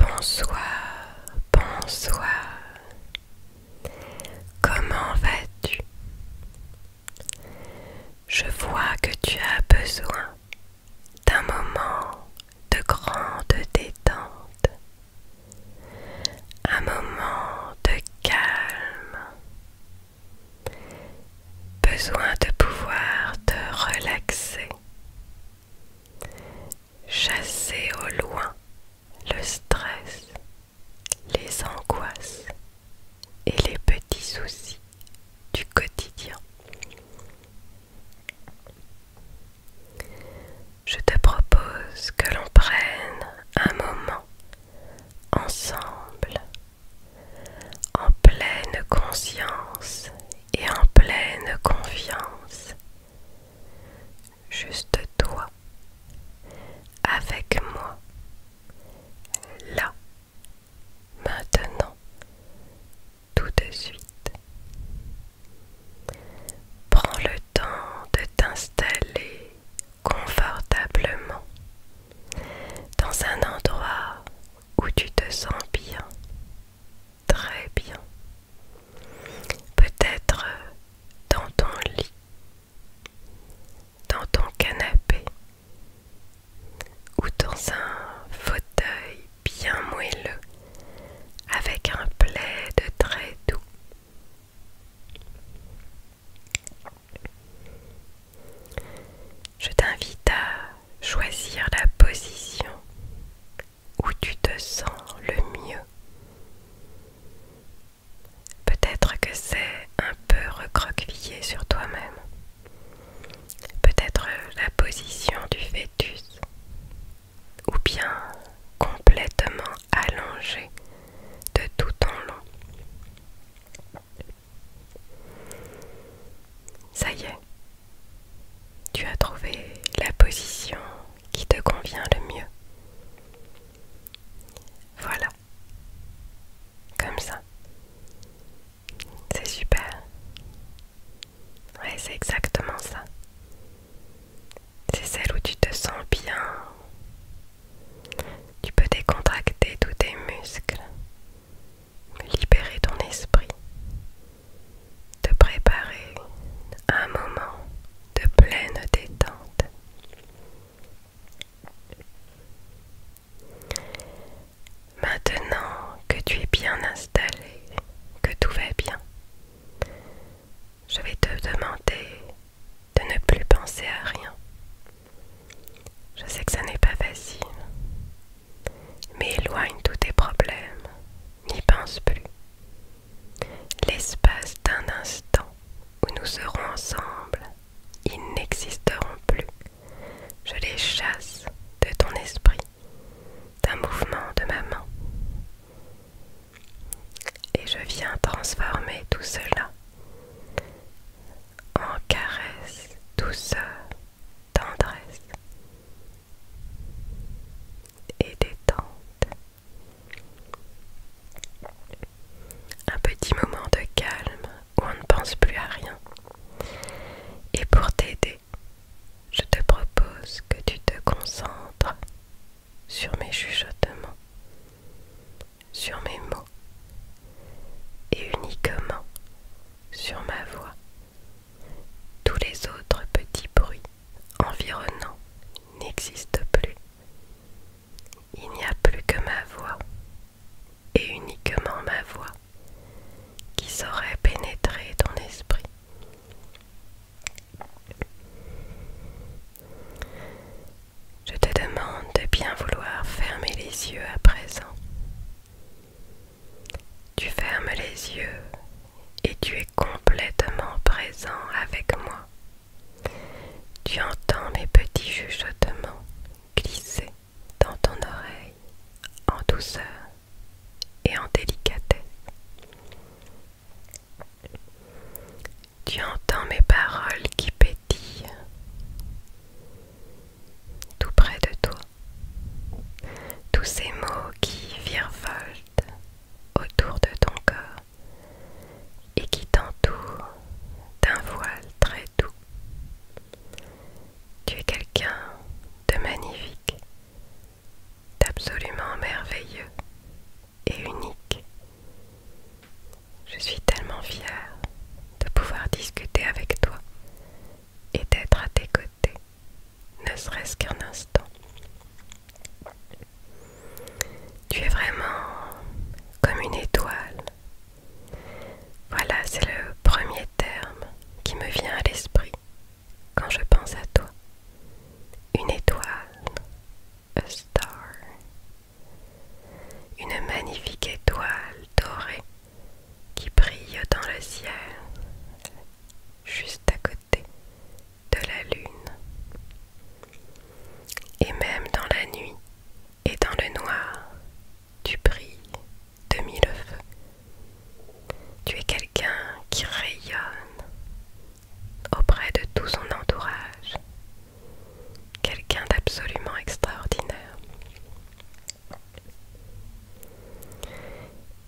Bonsoir, bonsoir. Comment vas-tu Je vois que tu as besoin d'un moment de grande détente, un moment de calme, besoin de pouvoir te relaxer, chasser au loin le stress, les angoisses et les petits soucis du quotidien. Je te propose que l'on prenne un moment ensemble, en pleine conscience et en pleine confiance, juste toi, avec moi, là Maintenant, tout de suite. Prends le temps de t'installer confortablement dans un endroit où tu te sens bien, très bien. Peut-être dans ton lit, dans ton canapé ou dans un fauteuil bien moelleux avec un plaid très doux. Je t'invite à choisir la position où tu te sens le mieux. Peut-être que c'est un peu recroquevillé sur toi-même peut-être euh, la position du fœtus, ou bien complètement allongé de tout en long. Ça y est, tu as trouvé la position qui te convient le mieux. Voilà, comme ça. C'est super. Ouais, c'est exactement ça. C'est celle où tu te sens bien. Tu peux décontracter tous tes muscles, libérer ton esprit, te préparer à un moment de pleine détente. Maintenant que tu es bien installé, que tout va bien, je vais te demander de ne plus penser à rien. Je sais que ça n'est pas facile, mais éloigne tous tes problèmes, n'y pense plus. L'espace d'un instant où nous serons ensemble, ils n'existeront plus. Je les chasse de ton esprit d'un mouvement de ma main. Et je viens transformer tout cela en caresse, douceur, tendresse et détente. Un petit moment de calme où on ne pense plus à rien. Et pour t'aider je te propose que tu te concentres sur mes chuchotements, sur mes mots et uniquement sur ma voix. Tous les autres petits bruits environnants n'existent plus. Il n'y a plus que ma voix et uniquement ma voix qui saurait pénétrer ton esprit. Je te demande de bien vouloir fermer les yeux à présent. Tu fermes les yeux et tu es complètement présent avec moi. Tu entends mes petits chuchotements glisser dans ton oreille en douceur et en délicatesse. Tu entends mes paroles qui pétillent tout près de toi, tous ces mots qui virevoltent autour de ton corps et qui t'entourent d'un voile très doux. Tu es quelqu'un de magnifique, d'absolument merveilleux et unique. Je suis tellement fière de pouvoir discuter avec toi et d'être à tes côtés, ne serait-ce qu'un instant. Tu es vraiment comme une étoile. Voilà, c'est le premier terme qui me vient à l'esprit quand je pense à toi. Une étoile, a star, une magnifique étoile dorée qui brille dans le ciel, juste à côté de la lune. Et même dans la nuit et dans le noir, tu brilles demi le feu. Tu es quelqu'un qui rayonne auprès de tout son entourage, quelqu'un d'absolument extraordinaire.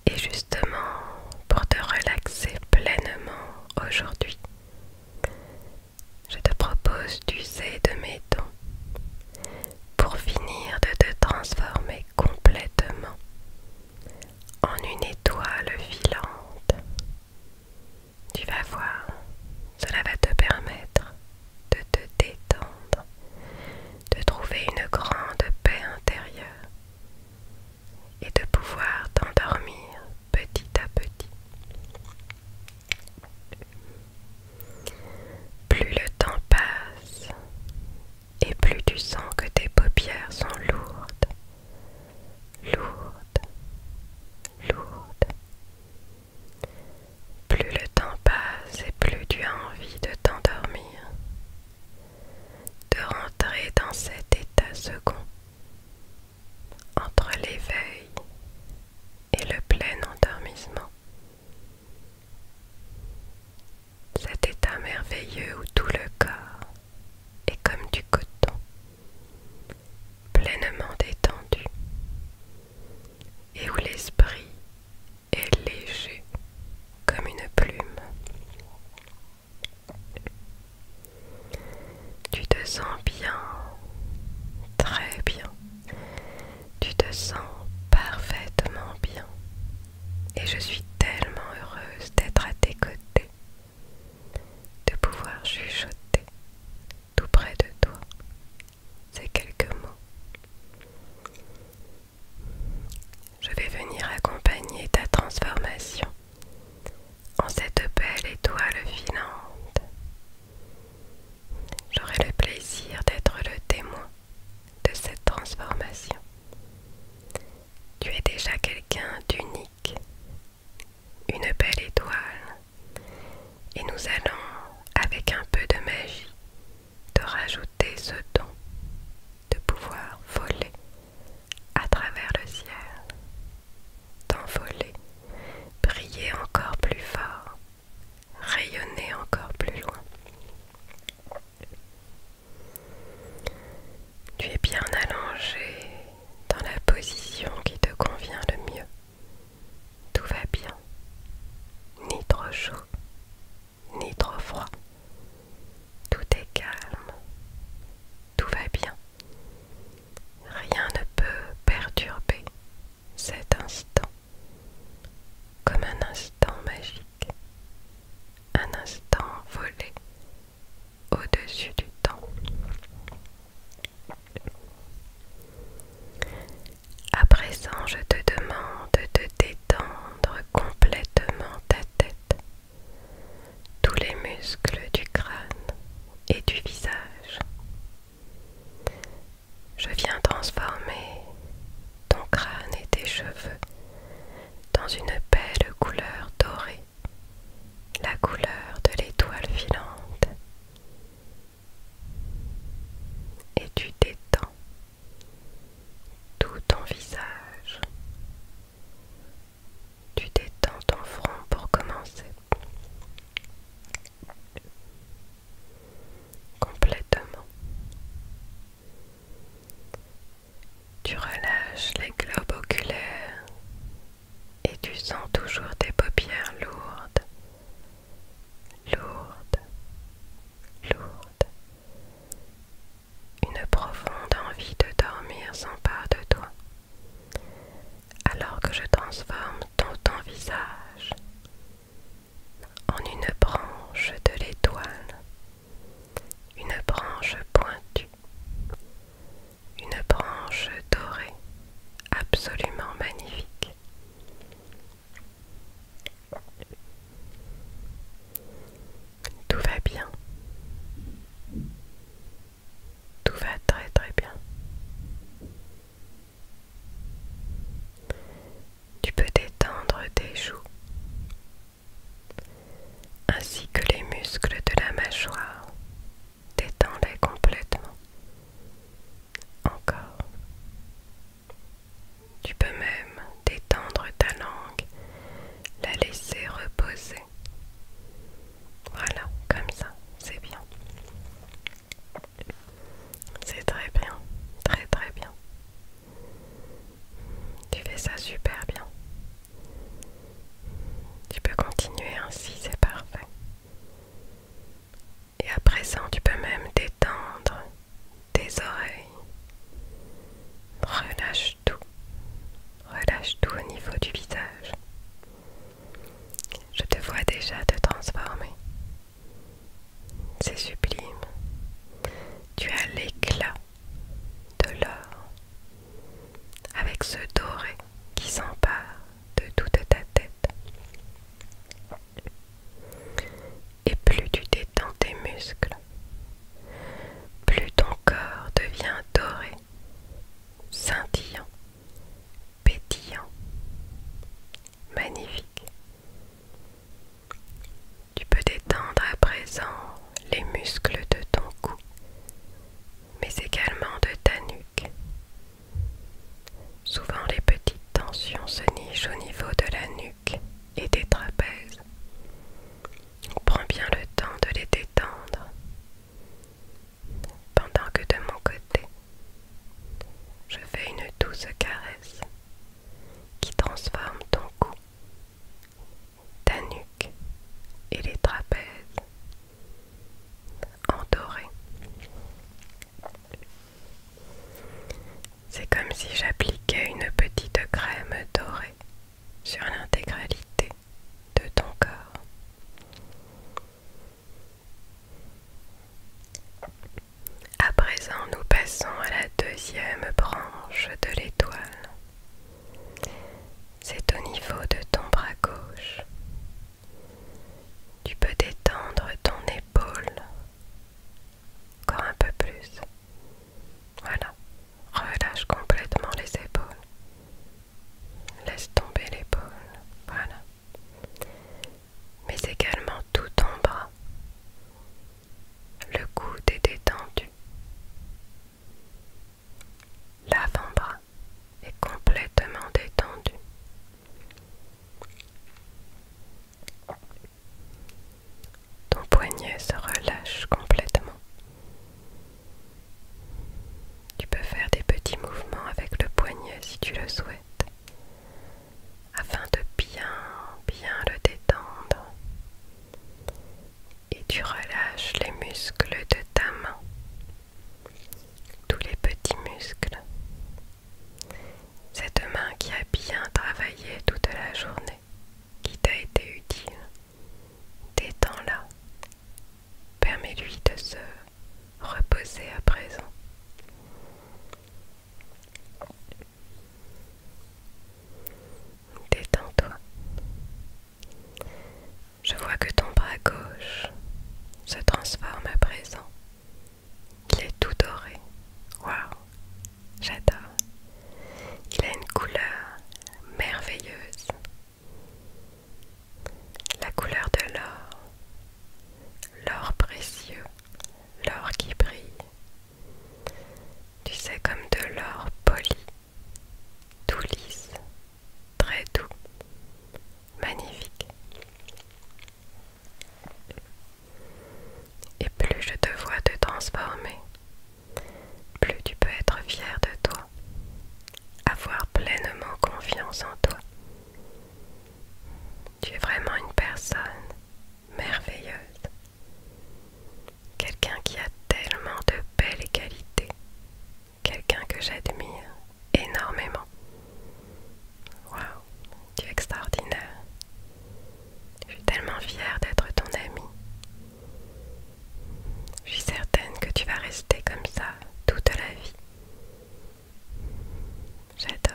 Et justement, pour te relaxer pleinement aujourd'hui, je te propose d'user de mes dons pour finir de te transformer complètement en une étoile filante. Tu vas voir, cela va te permettre de te détendre, de trouver une grande paix intérieure et de pouvoir t'endormir petit à petit. Plus le temps passe et plus tu sens que tes paupières sont lourdes, lourdes, lourdes. Plus le temps passe et plus tu as envie de t'endormir, de rentrer dans cet état second, entre l'éveil et le plein endormissement. Cet état merveilleux où tout le corps est comme du coton, pleinement détendu, et où l'esprit est léger comme une plume. Tu te sens bien, très bien. Tu te sens parfaitement bien et je suis tellement heureuse d'être à tes côtés, de pouvoir chuchoter tout près de toi ces quelques mots. Je vais venir accompagner ta transformation en cette belle étoile filante. J'aurai le plaisir d'être le témoin de cette transformation tu es déjà quelqu'un d'unique, une belle étoile, et nous allons, avec un peu de magie, te rajouter ce don de pouvoir voler à travers le ciel, t'envoler, briller encore plus fort, rayonner encore plus loin. Tu es bien allongé dans la position qui te convient le mieux. Tout va bien. Ni trop chaud, ni trop froid. Tout est calme. Tout va bien. Rien ne peut perturber cet instant comme un instant magique un instant volé au-dessus du temps. À présent, je te demande de détendre complètement ta tête, tous les muscles du crâne et du visage. Je viens transformer ton crâne et tes cheveux dans une belle couleur dorée, la couleur de l'étoile filante. Et tu détends tout ton visage. Tu détends ton front pour commencer. Complètement. Tu relâches les globes oculaires et tu sens toujours tes paupières lourdes, lourdes, lourdes. Une profonde envie de dormir s'empare de toi, alors que je transforme ton, ton visage en une branche de l'étoile une branche pointue, une branche dorée, absolument magnifique. Tout va bien. Tout va très très bien. Tu peux détendre tes joues ainsi que les muscles de la mâchoire. Détends-les complètement. Encore. Tu peux même détendre ta langue, la laisser reposer. Voilà, comme ça, c'est bien. C'est très bien, très très bien. Tu fais ça super bien. Tu peux continuer ainsi, c'est parfait. Et à présent, tu peux même détendre tes oreilles. Relâche tout. Relâche tout au niveau du visage. Je te vois déjà te transformer. C'est sublime. Tu as l'éclat de l'or, avec ce doré qui s'empare de toute ta tête. Et plus tu détends tes muscles, plus ton corps devient doré, scintillant, pétillant, magnifique. Tu peux détendre à présent les muscles de ton cou, mais également de ta nuque. Souvent les petites tensions se nichent au niveau de la nuque et des trapèzes. Prends bien le temps de les détendre. Pendant que de mon côté, je fais une douce caresse qui transforme ton cou ta nuque et les trapèzes en doré. C'est comme si j'appliquais une petite crème dorée sur l'intégralité de ton corps. À présent, nous passons à la deuxième branche de l'étoile. C'est au niveau de ton bras gauche. Tu peux détendre ton épaule. Encore un peu plus. Voilà. Relâche complètement les épaules. Laisse tomber l'épaule. Voilà. Mais également tout ton bras. Le coude est détendu. L'avant-bras est complètement détendu. Ton poignet se relâche complètement. Tu peux faire des petits mouvements avec le poignet si tu le souhaites, afin de bien, bien le détendre et tu relâches les muscles de ta main, tous les petits muscles. Cette main qui a bien travaillé toute la journée, qui t'a été utile, détends-la. Permets-lui de se reposer à présent. Détends-toi. Je vois que ton bras gauche se transforme à présent. Il est tout doré. Waouh, j'adore. Il a une couleur merveilleuse. La couleur de l'or. L'or précieux. L'or qui brille. Tu sais comme de l'or poli tout lisse, très doux, magnifique. Et plus je te vois te transformer, plus tu peux être fier de toi, avoir pleinement confiance en toi. Tu es vraiment une personne merveilleuse. Quelqu'un qui a tellement de belles qualités. Quelqu'un que j'admire énormément. Waouh, tu es extraordinaire. Je suis tellement fière d'être ton amie. Je suis certaine que tu vas rester comme ça toute la vie. J'adore.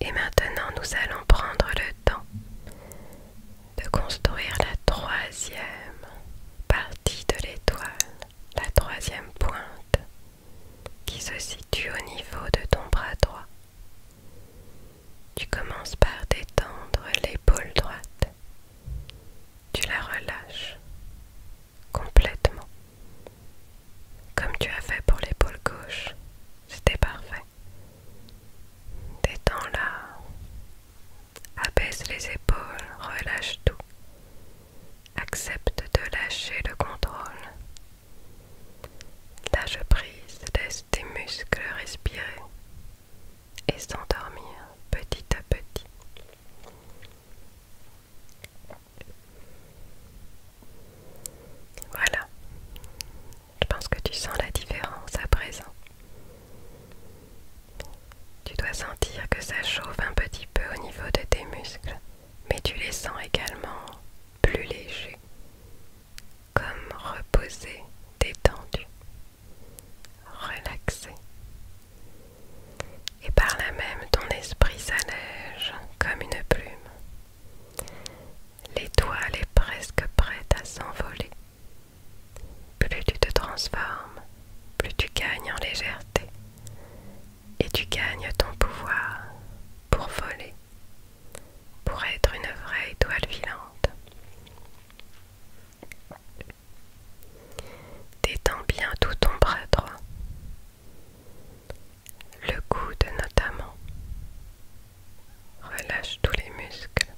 Et maintenant, nous allons prendre le temps de construire la troisième partie de l'étoile, la troisième pointe qui se situe au niveau de ton bras droit. Tu commences par détendre l'épaule droite. Tu la relâches complètement. Comme tu as fait pour l'épaule gauche, c'était parfait. Détends-la. Abaisse les épaules, relâche tout. Accepte de lâcher le contrôle. Lâche prise, laisse tes muscles respirer et s'endormir petit à petit. Voilà. Je pense que tu sens la différence à présent. Tu dois sentir que ça chauffe un petit peu au niveau de tes muscles, mais tu les sens également plus légers, comme reposés, détendus, relaxés. Et par là même, ton esprit s'allège comme une plume. L'étoile est presque prête à s'envoler. Plus tu te transformes, plus tu gagnes en légèreté. Et tu gagnes ton pouvoir pour voler, pour être une vraie étoile filante. Détends bien tout ton bras droit le coude notamment. Relâche tous les muscles,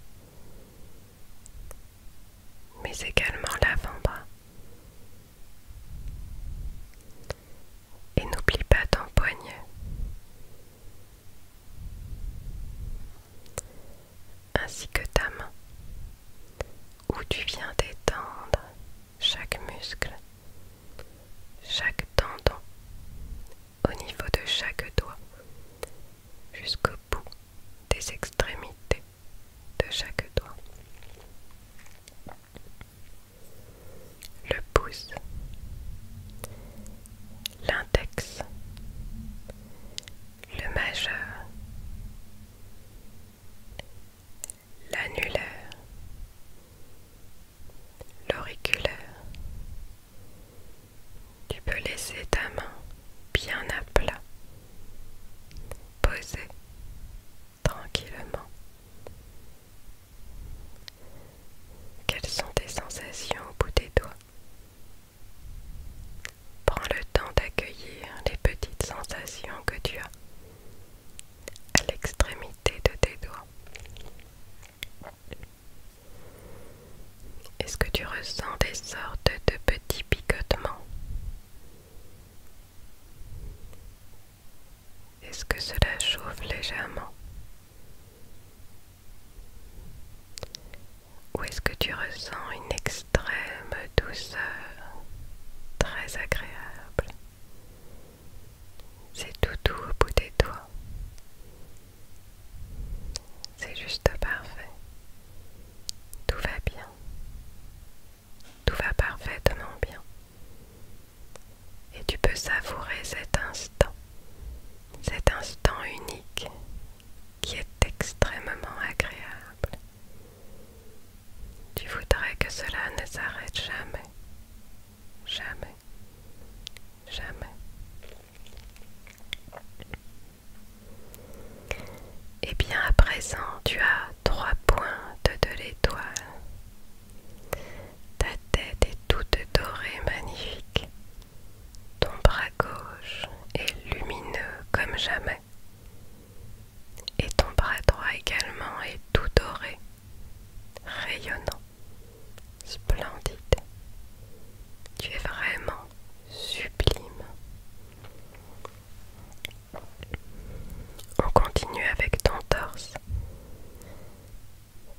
mais également l'avant-bras. Et n'oublie pas ton poignet. Ainsi que ta main, où tu viens d'étendre chaque muscle, chaque tendon au niveau de chaque doigt, jusqu'au bout des extrémités de chaque doigt. Le pouce, l'index, le majeur, l'annulaire, l'auriculaire, tu peux laisser ta main bien à plat, posée tranquillement. Quelles sont tes sensations au bout des doigts Prends le temps d'accueillir les petites sensations que tu as à l'extrémité de tes doigts. Est-ce que tu ressens des sortes de petits picotements Est-ce que cela chauffe légèrement Ou est-ce que tu ressens une extrême douceur très agréable c'est tout doux au bout des doigts. C'est juste parfait. Tout va bien. Tout va parfaitement bien. Et tu peux savourer cet instant, cet instant unique qui est extrêmement agréable. Tu voudrais que cela ne s'arrête jamais, jamais, jamais. Et bien à présent, tu as trois pointes de l'étoile. Ta tête est toute dorée, magnifique. Ton bras gauche est lumineux comme jamais. Et ton bras droit également est tout doré, rayonnant. Splendide. Tu es vraiment sublime. On continue avec ton torse.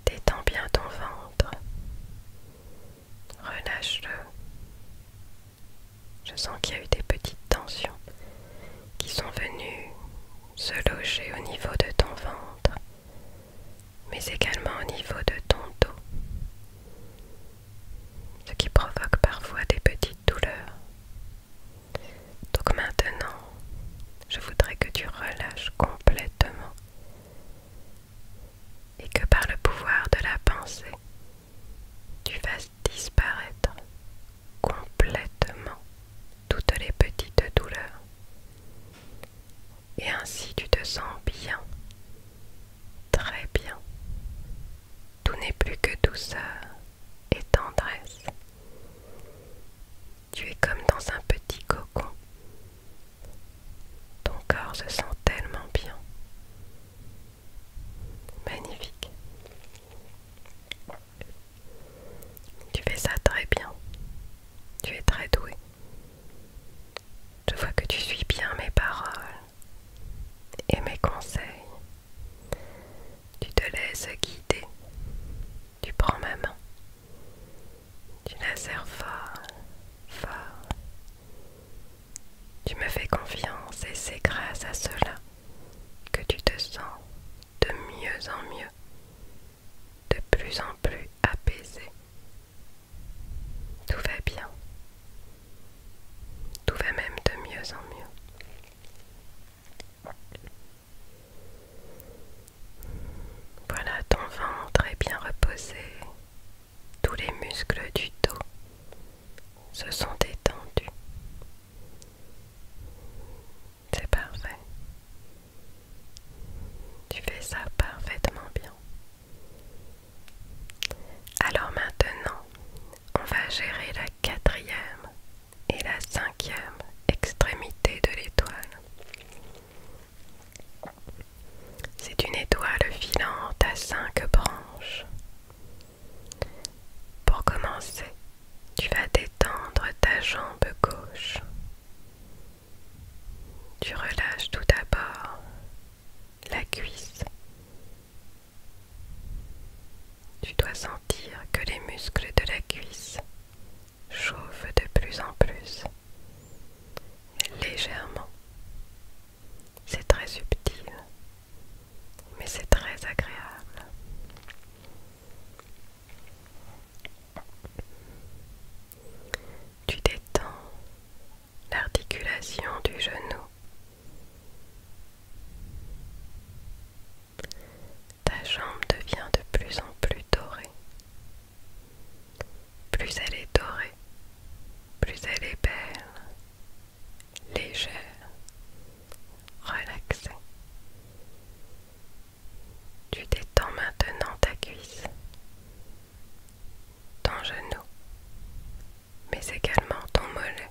Détends bien ton ventre. Relâche-le. Je sens qu'il y a eu des petites tensions qui sont venues se loger au niveau de ton ventre mais également au niveau de ton dos, ce qui provoque parfois des petites douleurs. Donc maintenant, je voudrais que tu relâches complètement et que par le pouvoir de la pensée, tu fasses disparaître complètement toutes les petites douleurs et ainsi tu te sens bien, très bien. Tout n'est plus que douceur et tendresse. Tu es comme dans un petit cocon. Ton corps se sent tellement bien. Magnifique. Tu fais ça très bien. Tu es très doué. Je vois que tu suis bien mes paroles et mes conseils. Tu te laisses guider. Tu prends ma main. Tu la serres fort, fort. Tu me fais confiance et c'est grâce à cela que tu te sens de mieux en mieux de plus en plus apaisé Tout va bien. Tout va même de mieux en mieux. Voilà ton ventre est bien reposé. Tous les muscles du dos se sont détendus. C'est parfait. Tu fais ça parfaitement bien. Alors maintenant, on va gérer la quatrième et la cinquième extrémité de l'étoile. C'est une étoile filante à cinq branches. Pour commencer, tu vas détendre ta jambe gauche. Tu relâches tout d'abord la cuisse. Tu dois sentir que les muscles de la cuisse chauffent de plus en plus, légèrement. C'est très subtil, mais c'est très agréable. Tu détends l'articulation du genou. Ta jambe devient de plus en plus dorée. Plus elle est dorée, plus elle est belle, légère, relaxée. Tu détends maintenant ta cuisse ton genou, mais également ton mollet.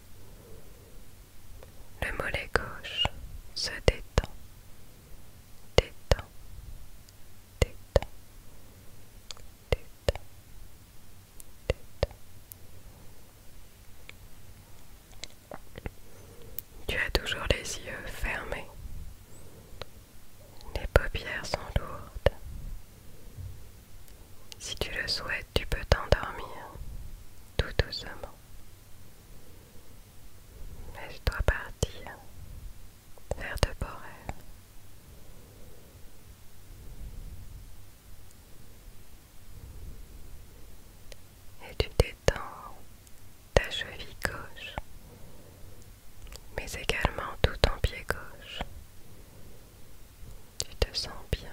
Le mollet gauche se détend, détend, détend, détend, détend. Tu as toujours les yeux fermés. Les paupières sont lourdes. Si tu le souhaites, tu peux t'endormir tout doucement. Laisse-toi partir vers de beaux Et tu détends ta cheville gauche mais également tout ton pied gauche. Tu te sens bien.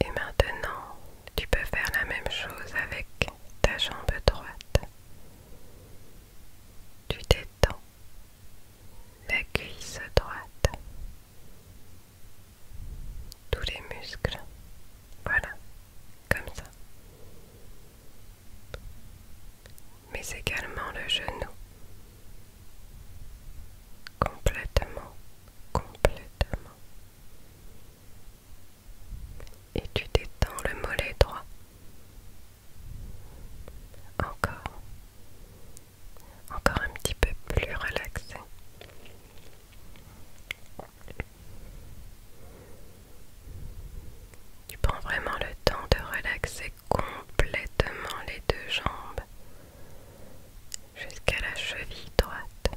Et maintenant, tu peux faire la même chose avec ta jambe droite. Tu détends la cuisse droite tous les muscles. Voilà, comme ça. Mais également le genou. Complètement, complètement. Et tu détends le mollet droit. Encore. Encore un petit peu plus relaxé. Tu prends vraiment le temps de relaxer complètement les deux jambes jusqu'à la cheville droite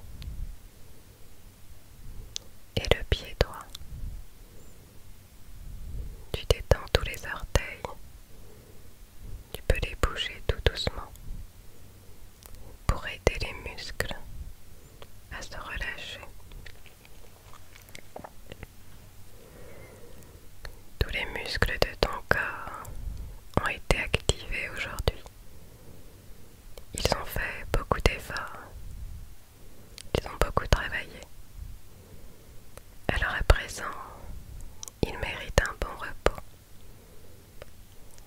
et le pied droit. Tu détends tous les orteils. Tu peux les bouger tout doucement pour aider les muscles à se relâcher. Tous les muscles de ton corps ont été activés aujourd'hui. Ils ont fait beaucoup d'efforts. Ils ont beaucoup travaillé. Alors à présent, ils méritent un bon repos.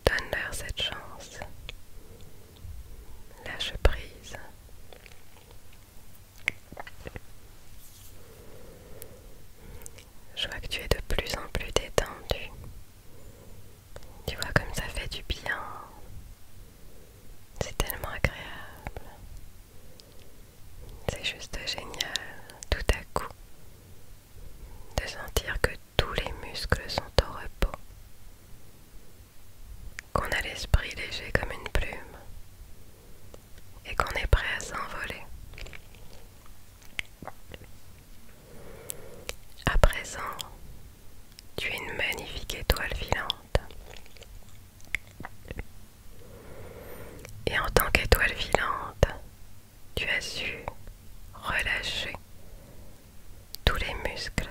Donne-leur cette chance. Lâche prise. Je vois que tu es de plus en plus détendu. Tu vois comme ça fait du bien. C'est tellement agréable. C'est juste génial. Tout à coup, de sentir que tous les muscles sont au repos, qu'on a l'esprit léger comme une plume et qu'on est prêt à s'envoler. À présent, tu es une magnifique étoile filante. Et en tant qu'étoile filante, tu as su relâcher tous les muscles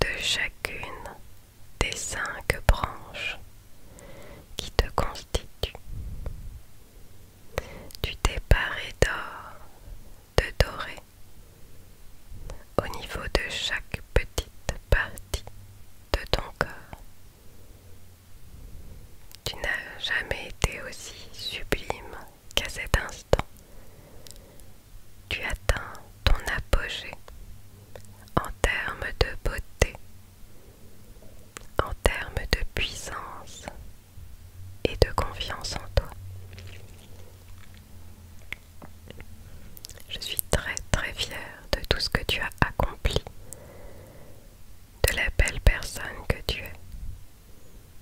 de chacune des cinq branches qui te constituent. Tu t'es paré d'or, de doré, au niveau de chaque petite partie de ton corps. Tu n'as jamais été aussi sublime qu'à cet instant, tu atteins ton apogée en termes de beauté, en termes de puissance et de confiance en toi. Je suis très très fière de tout ce que tu as accompli, de la belle personne que tu es,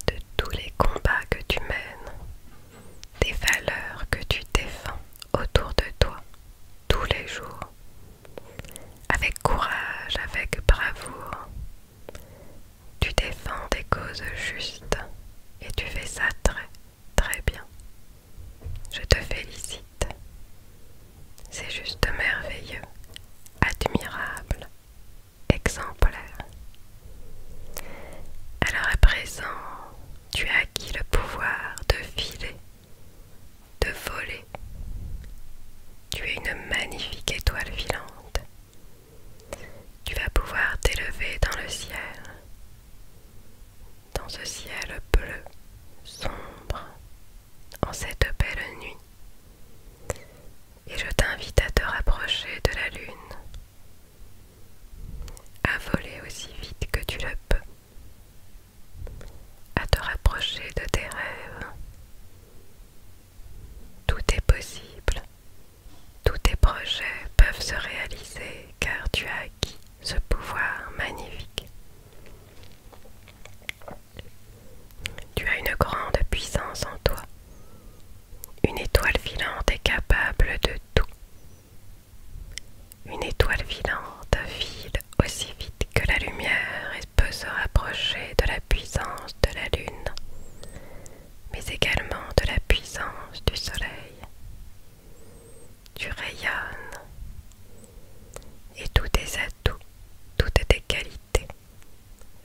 de tous les combats que tu mènes, des valeurs que tu défends autour de toi tous les jours, avec courage, avec bravoure. Tu défends des causes justes et tu fais ça très très bien. Je te félicite. C'est juste merveilleux, admirable, exemplaire. Alors à présent, tu as acquis le pouvoir de filer, de voler. Tu es une magnifique étoile filante. Tu vas pouvoir t'élever dans le ciel, dans ce ciel bleu, sombre, en cette belle nuit et je t'invite à te rapprocher de la lune, à voler aussi vite que tu le peux, à te rapprocher de tes rêves. Tout est possible, tous tes projets peuvent se réaliser car tu as acquis ce pouvoir magnifique. Tu as une grande puissance en toi. Une étoile filante est capable de tout. Une étoile filante file aussi vite que la lumière et peut se rapprocher de la puissance de la lune, mais également de la puissance du soleil. du rayon et tous tes atouts, toutes tes qualités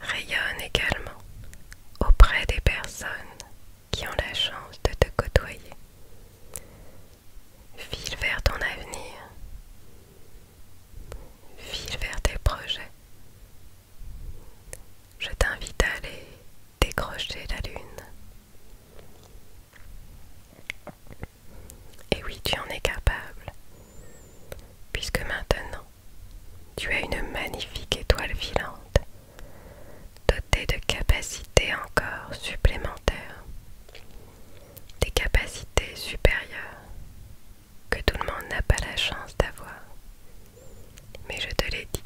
Rayonne également auprès des personnes qui ont la chance de te côtoyer. File vers ton avenir. File vers tes projets. Je t'invite à aller décrocher la lune. Et oui, tu en es capable, puisque maintenant tu as une magnifique étoile filante, dotée de capacités encore supplémentaires, des capacités supérieures que tout le monde n'a pas la chance d'avoir. Mais je te l'ai dit,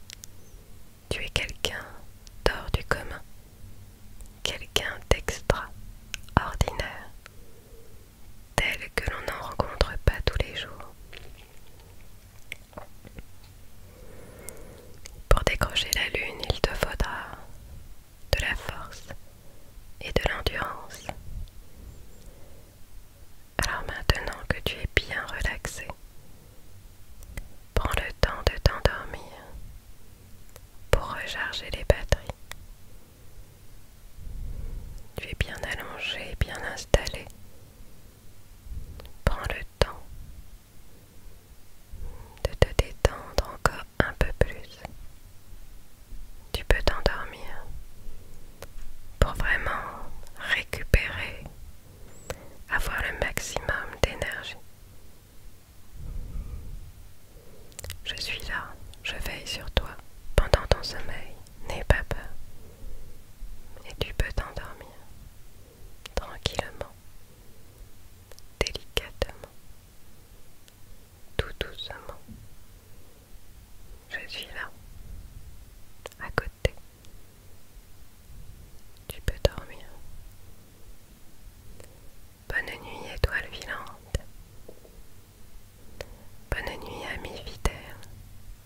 tu es quelqu'un d'or du commun, quelqu'un d'extraordinaire, tel que l'on n'en rencontre pas tous les jours. Pour décrocher la lune, il te faudra de la force et de l'endurance. Alors maintenant que tu es bien relaxé, prends le temps de t'endormir pour recharger les batteries. Tu es bien allongé, bien installé Prends le temps de te détendre encore un peu plus. Tu peux t'endormir pour vraiment récupérer, avoir le maximum d'énergie. Je suis là, je veille sur toi pendant ton sommeil, n'aie pas peur et tu peux t'endormir tranquillement, délicatement, tout doucement. Je suis là, à côté. Tu peux dormir. Bonne nuit, étoile filante. Bonne nuit, ami fidèle,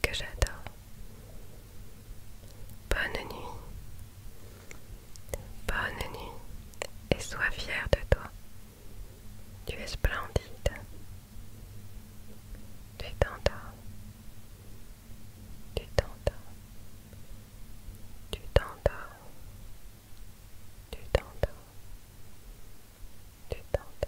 que j'adore. Bonne nuit. Bonne nuit et sois fière de toi. Tu es splendide. Tu t'endors. Tu t'endors. Tu t'endors. Tu t'endors. Tu t'entends.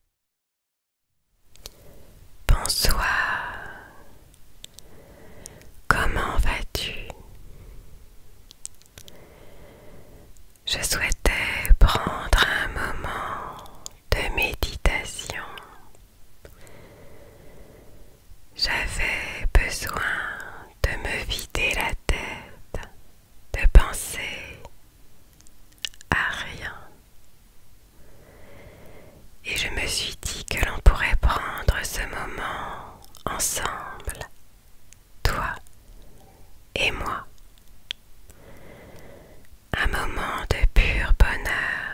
Bonsoir. Comment vas-tu Je souhaitais prendre un moment de méditation. J'avais besoin de me vider la tête de penser à rien. Et je me suis dit que l'on pourrait prendre ce moment ensemble, toi et moi. Un moment de pur bonheur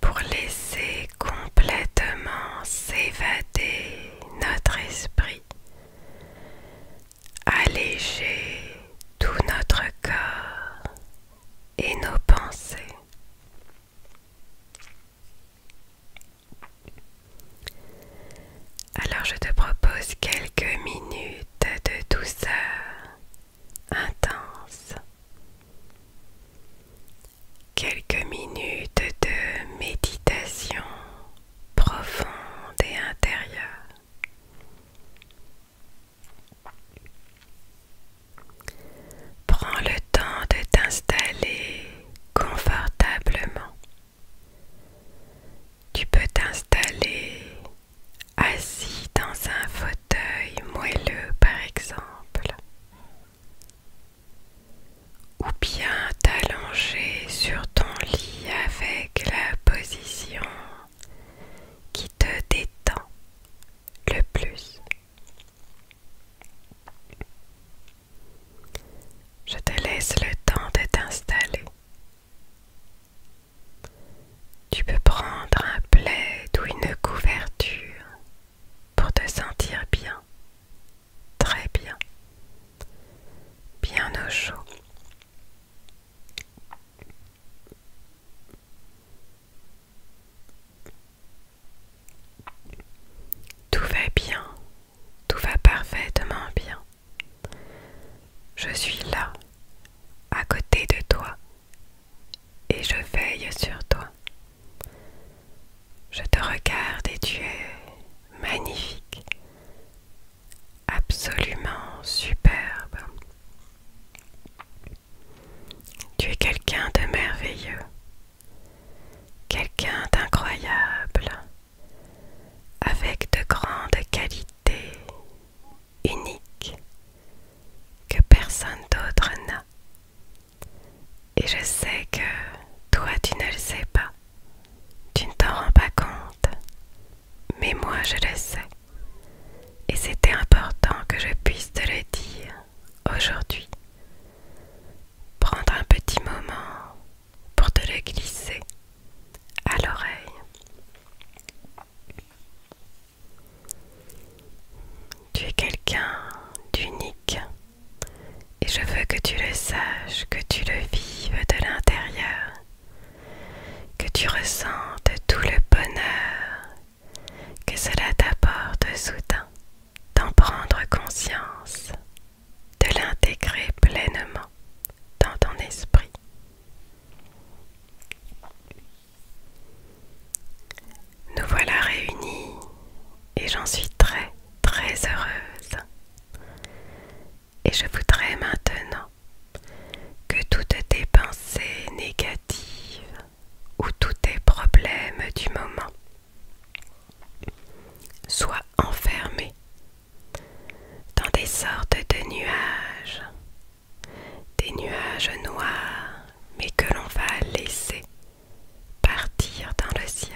pour laisser complètement s'évader notre esprit alléger tout notre corps et nos pensées. Alors je te propose quelques minutes de douceur intense, quelques minutes de méditation profonde et intérieure. Prends le temps de t'installer confortablement. Tu peux t'installer assis dans un fauteuil moelleux par exemple, ou bien t'allonger sur ton lit avec la position qui te détend le plus. Je te laisse le temps de t'installer. Tu peux prendre un plaid ou une couverture pour te sentir bien, très bien, bien au chaud. Tout va bien, tout va parfaitement bien. Je suis là, à côté de toi, et je veille sur toi. Je te regarde et tu es magnifique, absolument superbe. Tu es quelqu'un de merveilleux, quelqu'un d'incroyable, avec de grandes qualités uniques que personne d'autre n'a. Et je sais que toi tu ne le sais pas, tu ne t'en rends pas compte, mais moi je le sais. Et c'était important que je puisse te le dire aujourd'hui. Prendre un petit moment pour te le glisser à l'oreille. Tu es quelqu'un d'unique et je veux que tu le saches, que tu le vives de l'intérieur que tu ressentes tout le bonheur que cela t'apporte soudain, d'en prendre conscience, de l'intégrer pleinement dans ton esprit. Nous voilà réunis et j'en suis très très heureuse et je voudrais maintenant que toutes tes pensées négatives ou tous tes problèmes du moment soient enfermés dans des sortes de nuages, des nuages noirs, mais que l'on va laisser partir dans le ciel.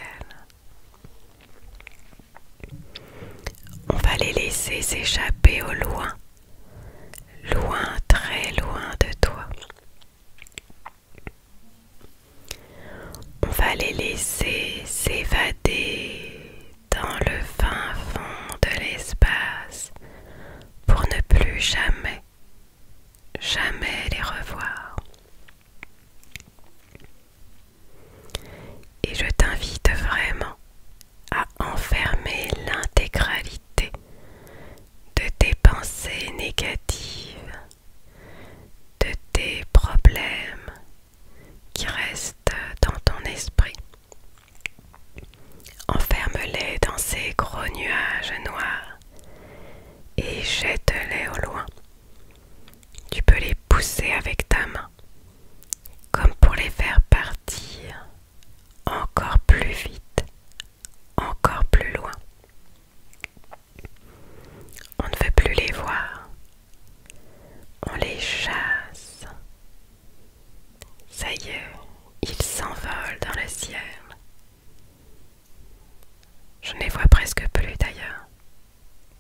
On va les laisser s'échapper au loin, loin, très loin de toi. On va les laisser s'évader dans le fin fond de l'espace pour ne plus jamais, jamais les revoir. Et je t'invite vraiment à enfermer l'intégralité de tes pensées négatives, de tes problèmes qui restent dans ton esprit. Enferme-les dans ces gros nuages noirs et jette-les au loin. Tu peux les pousser avec ta main comme pour les faire partir encore plus vite, encore plus loin. On ne veut plus les voir, on les chasse. Ça y est, ils s'envolent dans le ciel. Je ne les vois presque plus d'ailleurs.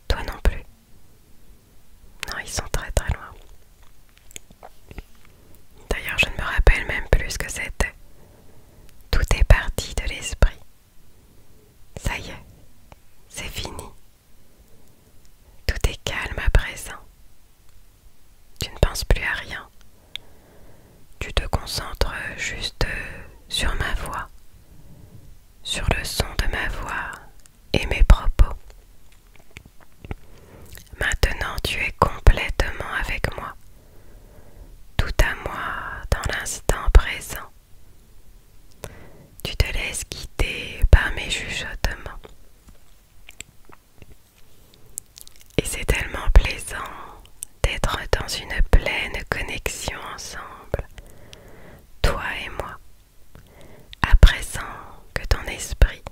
Toi non plus. Non, ils sont très très loin. D'ailleurs, je ne me rappelle même plus ce que c'était. Tout est parti de l'esprit. Ça y est, c'est fini. Tout est calme à présent. Tu ne penses plus à rien. Tu te concentres juste sur ma voix, sur le son de ma voix et mes propos. Maintenant tu es complètement avec moi, tout à moi dans l'instant présent. Tu te laisses guider par mes chuchotements. Et c'est tellement plaisant d'être dans une pleine connexion ensemble, toi et moi. À présent que ton esprit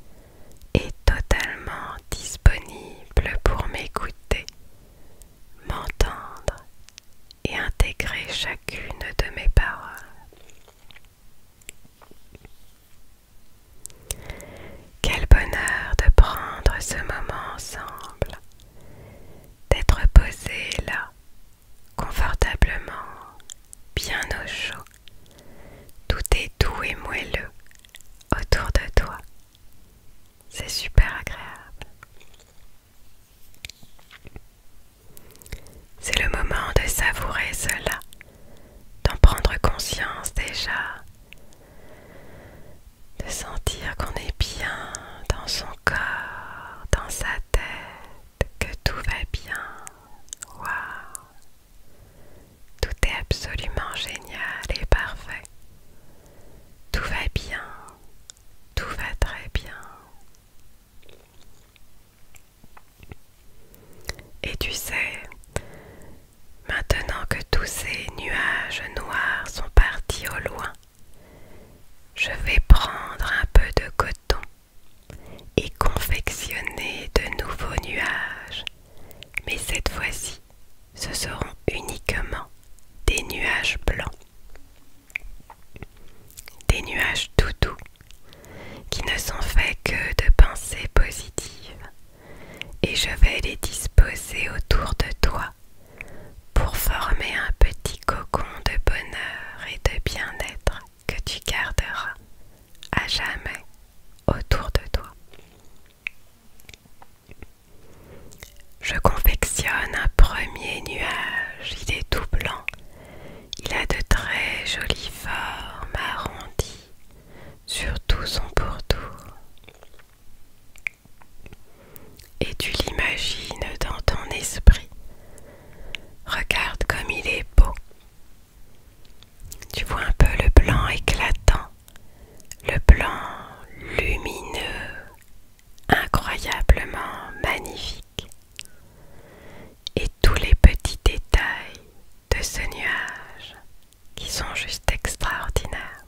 est totalement disponible pour m'écouter, m'entendre et intégrer chacune de mes paroles. Quel bonheur de prendre ce moment ensemble, d'être posé là, confortablement, bien au chaud, tout est doux et moelleux autour de toi. C'est super agréable. C'est le moment de savourer cela, d'en prendre conscience déjà, de sentir qu'on est bien dans son corps, dans sa tête, que tout va bien. Tout est absolument génial et parfait. Tout va bien. Tout va très bien. Et tu sais, maintenant que tous ces nuages noirs sont partis au loin, je vais prendre un peu de coton et confectionner de nouveaux nuages. Mais cette fois-ci, ce seront uniquement des nuages blancs. Des nuages tout doux qui ne sont faits que de pensées positives. Et je vais les disposer autour de toi pour former un petit cocon de bonheur et de bien-être que tu garderas à jamais autour de toi. Je confectionne un premier nuage, il est tout blanc, il a de très jolies formes arrondies sur tout son pourtour. Et tu l'imagines dans ton esprit. Regarde comme il est beau, tu vois un peu le blanc éclatant, le blanc lumineux, incroyablement magnifique. Et tous les petits détails de ce nuage qui sont juste extraordinaires.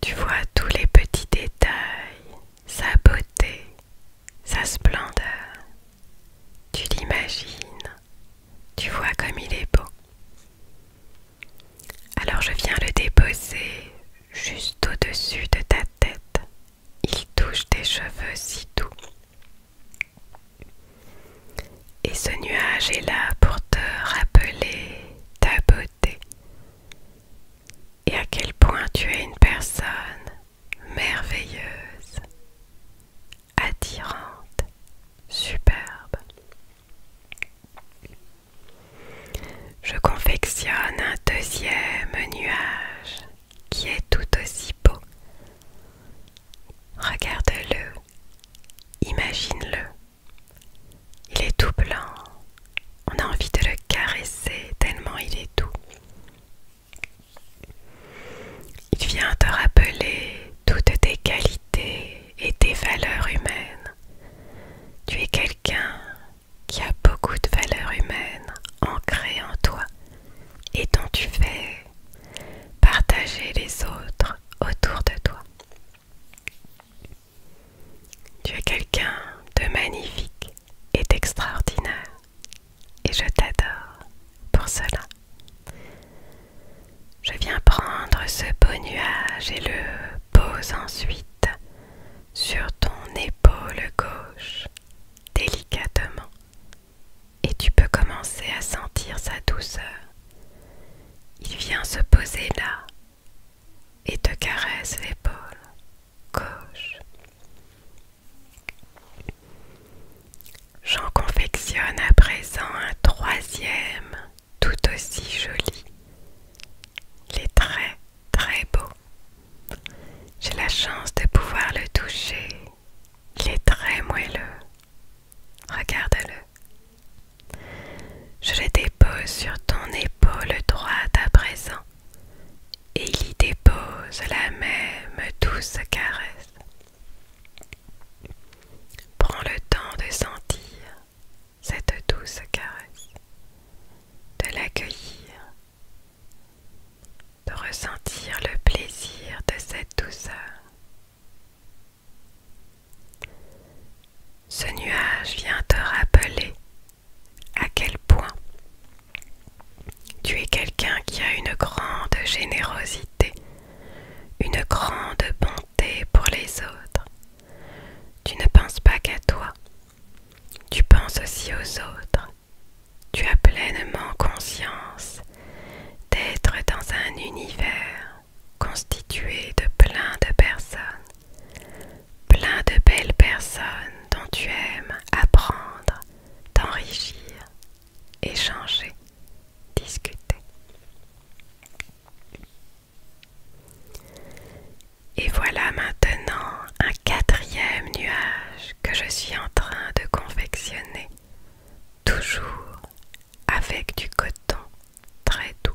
Tu vois tous les petits détails, sa beauté, sa splendeur. Tu l'imagines, tu vois comme il est beau. Alors je viens le déposer juste au-dessus de ta tête. Il touche tes cheveux si doux. Et ce nuage est là pour te rappeler ta beauté et à quel point tu es une personne merveilleuse, attirante, superbe. Je confectionne un deuxième nuage qui est tout aussi beau. Regarde-le, imagine-le. Il est tout blanc. On a envie de le caresser tellement il est doux. Il vient te rappeler toutes tes qualités et tes valeurs humaines. Tu es quelqu'un qui a beaucoup de valeurs humaines ancrées en toi et dont tu fais partager les autres autour de toi. Tu es quelqu'un de magnifique est extraordinaire et je t'adore pour cela. Je viens prendre ce beau nuage et le pose ensuite sur ton épaule gauche délicatement et tu peux commencer à sentir sa douceur. Il vient se poser là et te caresse l'épaule gauche. J'en confectionne à présent un troisième tout aussi joli. Il est très très beau. J'ai la chance de pouvoir le toucher. Il est très moelleux. Regarde-le. Je le dépose sur ton épaule droite à présent et il y dépose la même douce caresse. Prends le temps de sentir cette douce caresse, de l'accueillir, de ressentir le plaisir de cette douceur. Ce nuage vient te rappeler à quel point tu es quelqu'un qui a une grande générosité, une grande bonté pour les autres. Tu ne penses pas qu'à toi, tu penses aussi aux autres. Tu as pleinement conscience d'être dans un univers constitué de plein de personnes, plein de belles personnes dont tu aimes apprendre, t'enrichir, échanger, discuter. Et voilà maintenant un quatrième nuage que je suis en train de confectionner, toujours avec du coton très doux.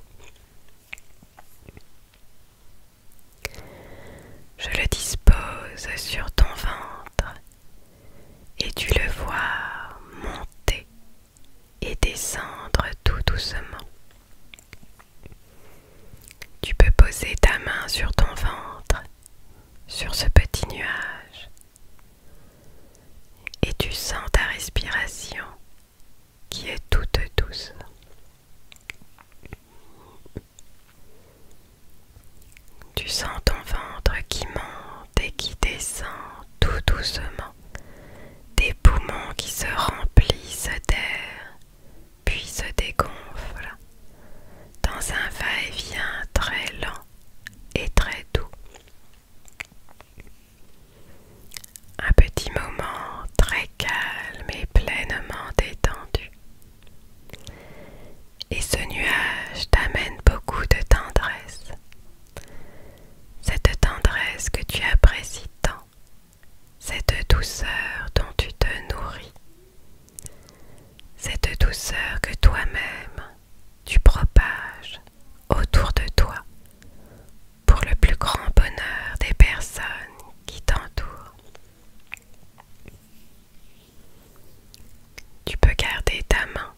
Je le dispose sur ton ventre et tu le vois monter et descendre tout doucement. Tu peux poser ta main sur ton ventre, sur ce petit nuage, et tu sens ta respiration qui est toute douce. Tu sens ton ventre qui monte et qui descend tout doucement, Tes poumons qui se remplissent d'air, puis se dégonflent, dans un va-et-vient très lent et très doux. Un petit moment très calme et pleinement détendu et ce nuage t'amène beaucoup de tendresse. Cette tendresse que tu apprécies tant, cette douceur dont tu te nourris, cette douceur que toi-même tu propages autour de toi pour le plus grand bonheur des personnes qui t'entourent. Tu peux garder ta main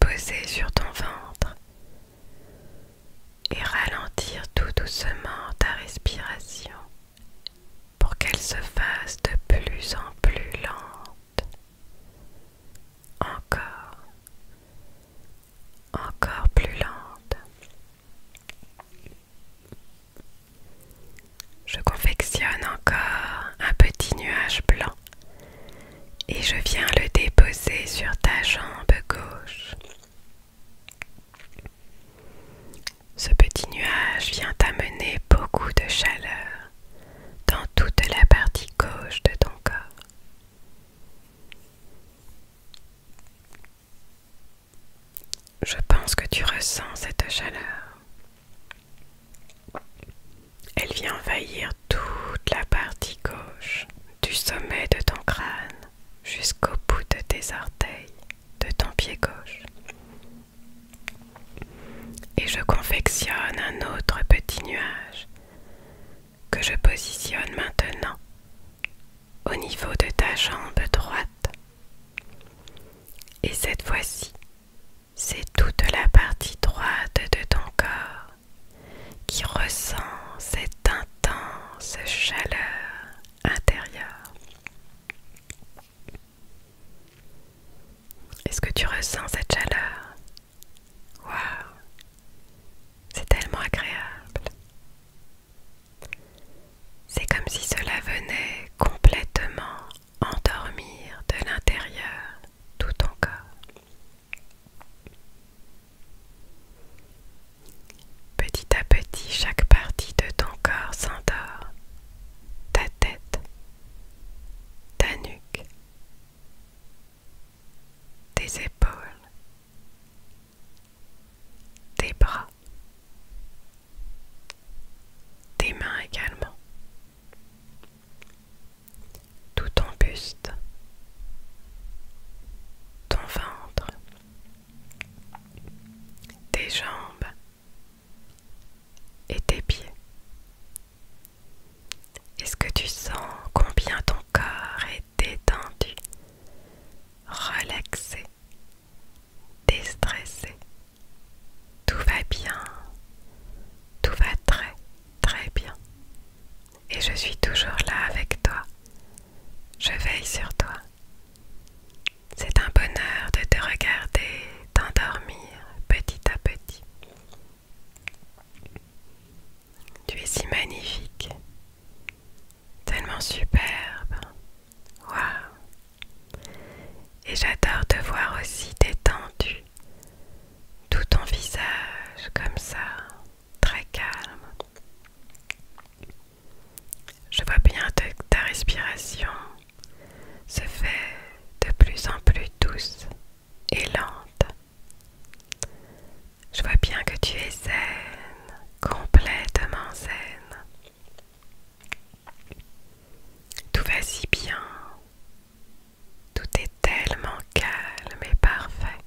posée sur ton ventre et ralentir tout doucement ta respiration pour qu'elle se fasse de plus en plus lente. Encore, encore plus lente. Je confectionne encore un petit nuage blanc et je viens le déposer sur ta jambe gauche. Ce petit nuage vient amener beaucoup de chaleur dans toute la partie gauche de ton corps. Je pense que tu ressens cette chaleur. Elle vient envahir toute la partie gauche, du sommet de ton crâne jusqu'au bout de tes orteils, de ton pied gauche. Et je confectionne un autre petit nuage que je positionne maintenant au niveau de ta jambe droite et cette fois-ci, c'est toute la partie droite de ton corps qui ressent cette intense chaleur intérieure. Est-ce que tu ressens cette chaleur Waouh C'est tellement agréable. C'est comme si cela venait complètement endormir de l'intérieur tout ton corps. Petit à petit, chaque partie de ton corps s'endort. Ta tête, ta nuque, tes épaules, tes bras, tes mains également, tout ton buste, ton ventre, tes jambes et tes pieds. Est-ce que tu sens combien ton corps est détendu, relaxé, déstressé tout va bien, tout va très très bien. Et je suis toujours là avec toi. Je veille sur toi. C'est un bonheur de te regarder, t'endormir petit à petit. Tu es si magnifique, tellement superbe, Waouh Et j'adore te voir aussi détendu, tout ton visage comme ça, très calme. Je vois bien que ta respiration se fait de plus en plus douce et lente. Je vois bien que tu es zen, complètement zen. Tout va si bien. Tout est tellement calme et parfait.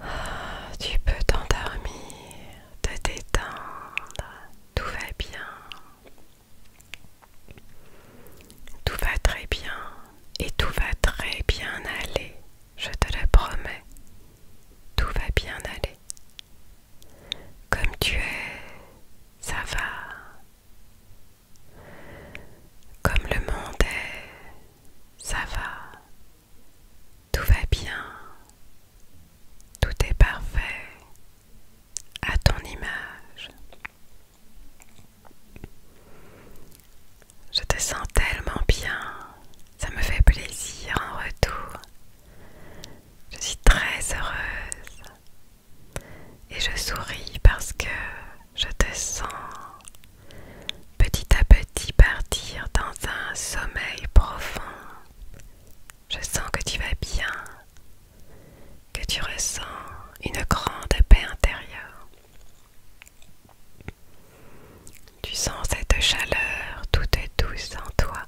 Ah, tu peux t'endormir, te détendre. Tout va bien. Tout va très bien et tout va très bien aller. Je te le promets. Tout va bien aller. Comme tu es, ça va. Comme le monde est, ça va. Tout va bien. Tout est parfait. À ton image. Je te sens tellement bien. Ça me fait plaisir en retour. Je suis très heureuse et je souris parce que je te sens petit à petit partir dans un sommeil profond. Je sens que tu vas bien, que tu ressens une grande paix intérieure. Tu sens cette chaleur toute douce en toi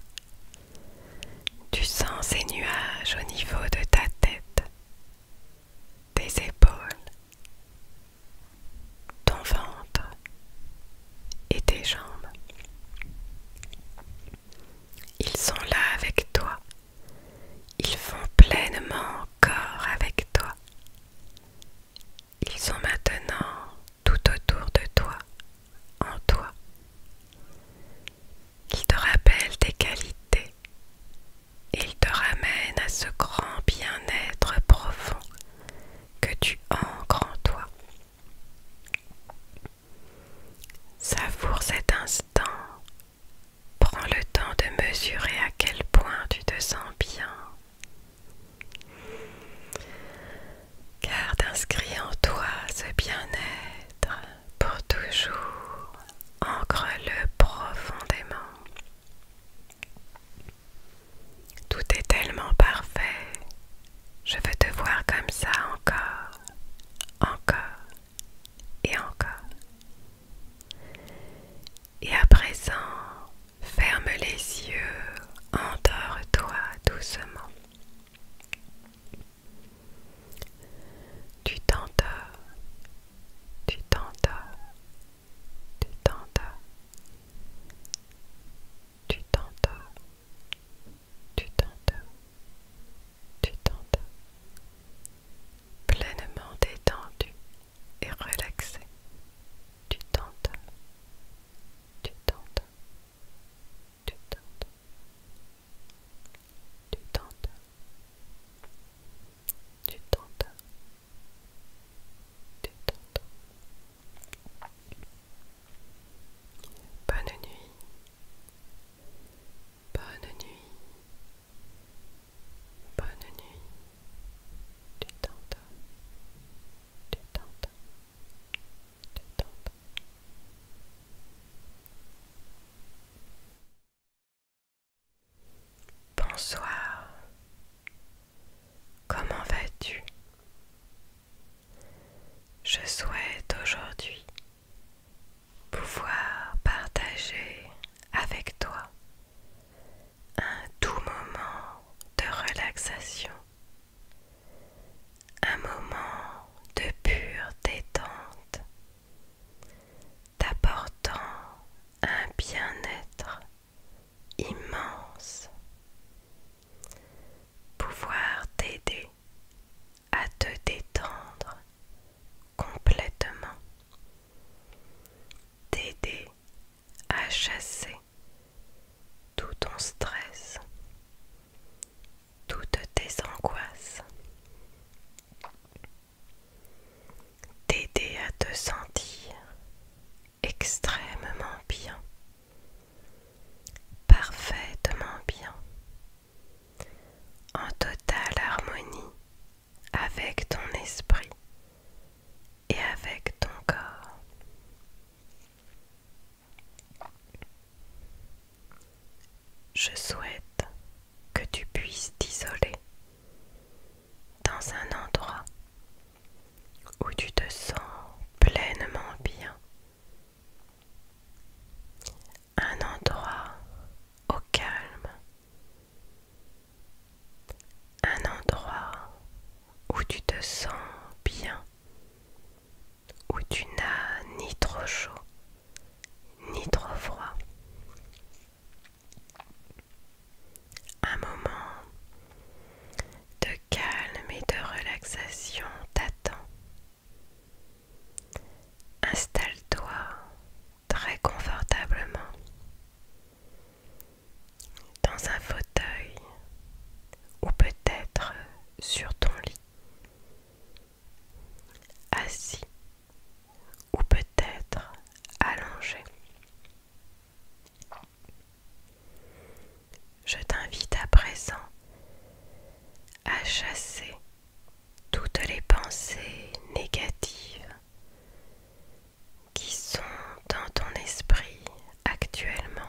tu sens ces nuages au niveau de ta tête, tes épaules, ton ventre et tes jambes. Ils sont là avec toi. Ils font pleinement corps avec toi. Ils sont maintenant tout autour de toi, en toi. qui te rappelle tes qualités. Il te ramène à ce grand bien-être profond que tu ancres en toi. Savoure cet instant. Prends le temps de mesurer à quel point tu te sens bien. Garde inscrit en toi ce bien-être pour toujours, ancre-le profondément. Tout est tellement parfait, je veux te voir comme ça encore, encore et encore. Et à présent, ferme les yeux, endors-toi doucement. Tu tentes, tu tentes, tu tentes, tu tentes, tu tentes, tu tentes, pleinement détendu et relaxé, tu tentes, tu tentes. Tu tentes. Tu tentes. Tu tentes. Tu tentes. Bonne nuit. Bonne nuit. Bonne nuit. Tu tentes. Tu tentes. Bonsoir. Comment vas-tu Je souhaite aujourd'hui pouvoir partager avec toi un doux moment de relaxation un moment de pure détente, t'apportant un bien-être immense, pouvoir t'aider à te détendre complètement, t'aider à chasser tout ton stress, toutes tes angoisses, t'aider à te sentir extrêmement bien, parfaitement bien, en totale harmonie avec ton esprit et avec ton corps. Je souhaite que tu puisses t'isoler dans un endroit où tu te sens pleinement bien. Un endroit au calme. Un endroit où tu te sens bien où tu n'as ni trop chaud ni trop froid. Un moment de calme et de relaxation t'attend. Installe-toi très confortablement dans un fauteuil ou peut-être sur ton lit assis ou peut-être allongé. Je t'invite à présent à chasser toutes les pensées négatives qui sont dans ton esprit actuellement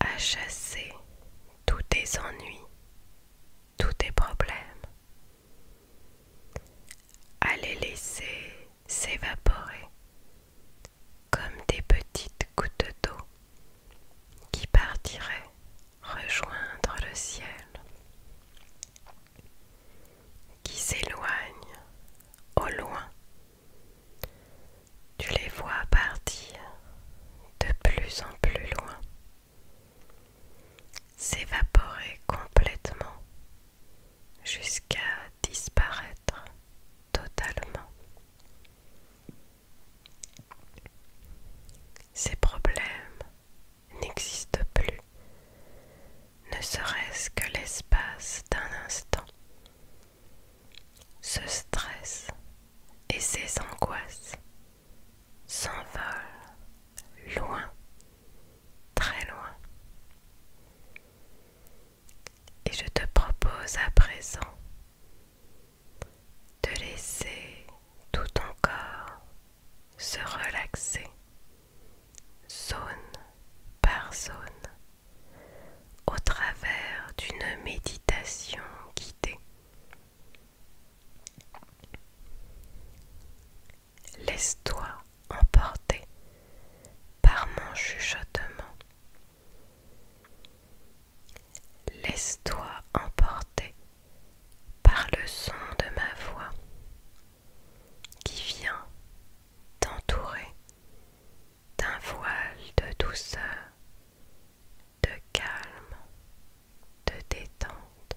à chasser tous tes ennuis, tous tes problèmes, à les laisser s'évaporer comme des petites gouttes d'eau qui partiraient rejoindre le ciel, qui s'éloignent au loin tu les vois partir de plus en plus loin, s'évaporer complètement jusqu'à disparaître totalement. Ces problèmes n'existent plus, ne serait-ce que l'espace d'un instant, ce stress et ces angoisses s'envolent loin, très loin. Et je te propose à présent de laisser tout ton corps se relaxer zone par zone au travers d'une méditation guidée. Laisse-toi emporter par mon chuchotement. Laisse-toi emporter par le son de ma voix qui vient t'entourer d'un voile de douceur, de calme, de détente.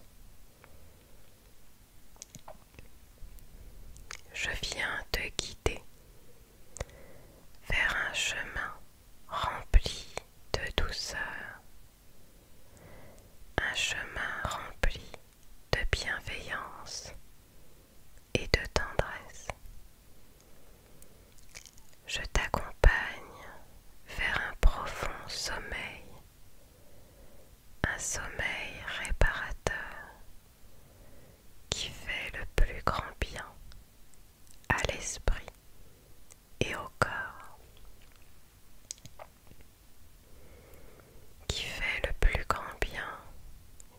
Je viens te guider vers un chemin rempli de douceur, un chemin rempli de bienveillance, et de tendresse. Je t'accompagne vers un profond sommeil, un sommeil réparateur qui fait le plus grand bien à l'esprit et au corps, qui fait le plus grand bien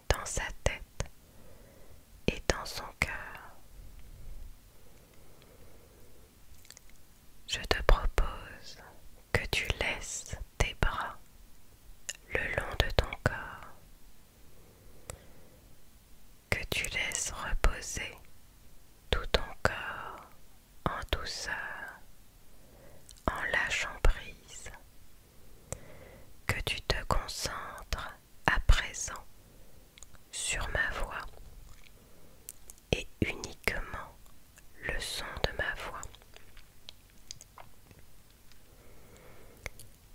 dans sa tête et dans son cœur. Je te propose que tu laisses tes bras le long de ton corps, que tu laisses reposer tout ton corps en douceur, en lâchant prise, que tu te concentres à présent sur ma voix et uniquement le son de ma voix.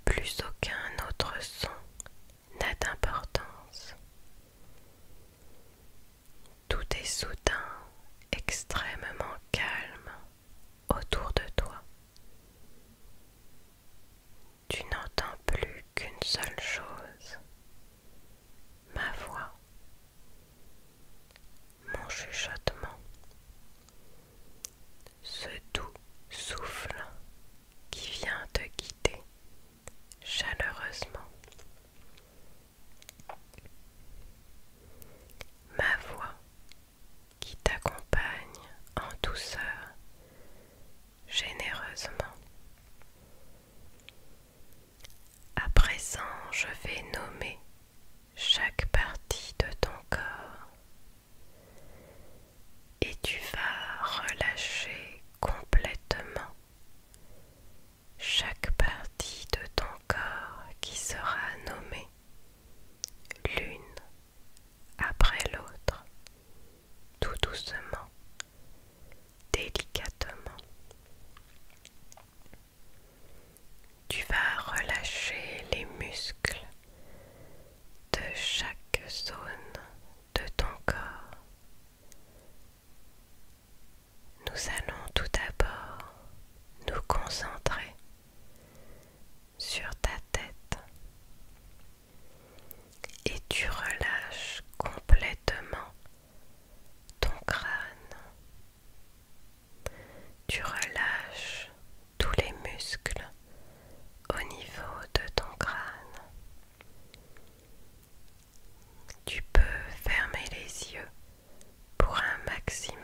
Plus aucun autre son n'a d'importance. Tout est soudain extrêmement calme autour de toi tu n'entends plus qu'une seule chose, ma voix, mon chuchotement, ce doux souffle qui vient te guider chaleureusement. Ma voix qui t'accompagne en douceur généreusement. À présent, je vais nommer chaque partie de ton corps et tu vas relâcher complètement chaque partie de ton corps qui sera nommée l'une après l'autre, tout doucement, délicatement. Tu vas relâcher les muscles de chaque zone de ton corps. Nous allons tout d'abord nous concentrer sur ta tête et tu relâches complètement ton crâne. Tu relâches tous les muscles au niveau de ton crâne. Tu peux fermer les yeux pour un maximum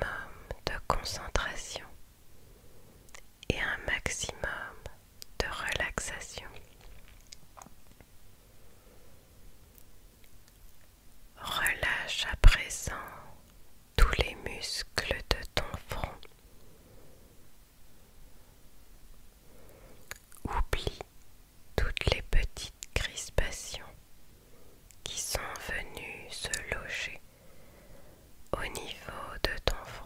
de concentration et un maximum de relaxation. Relâche à présent tous les muscles de ton front. Oublie toutes les petites crispations qui sont venues se loger au niveau de ton front.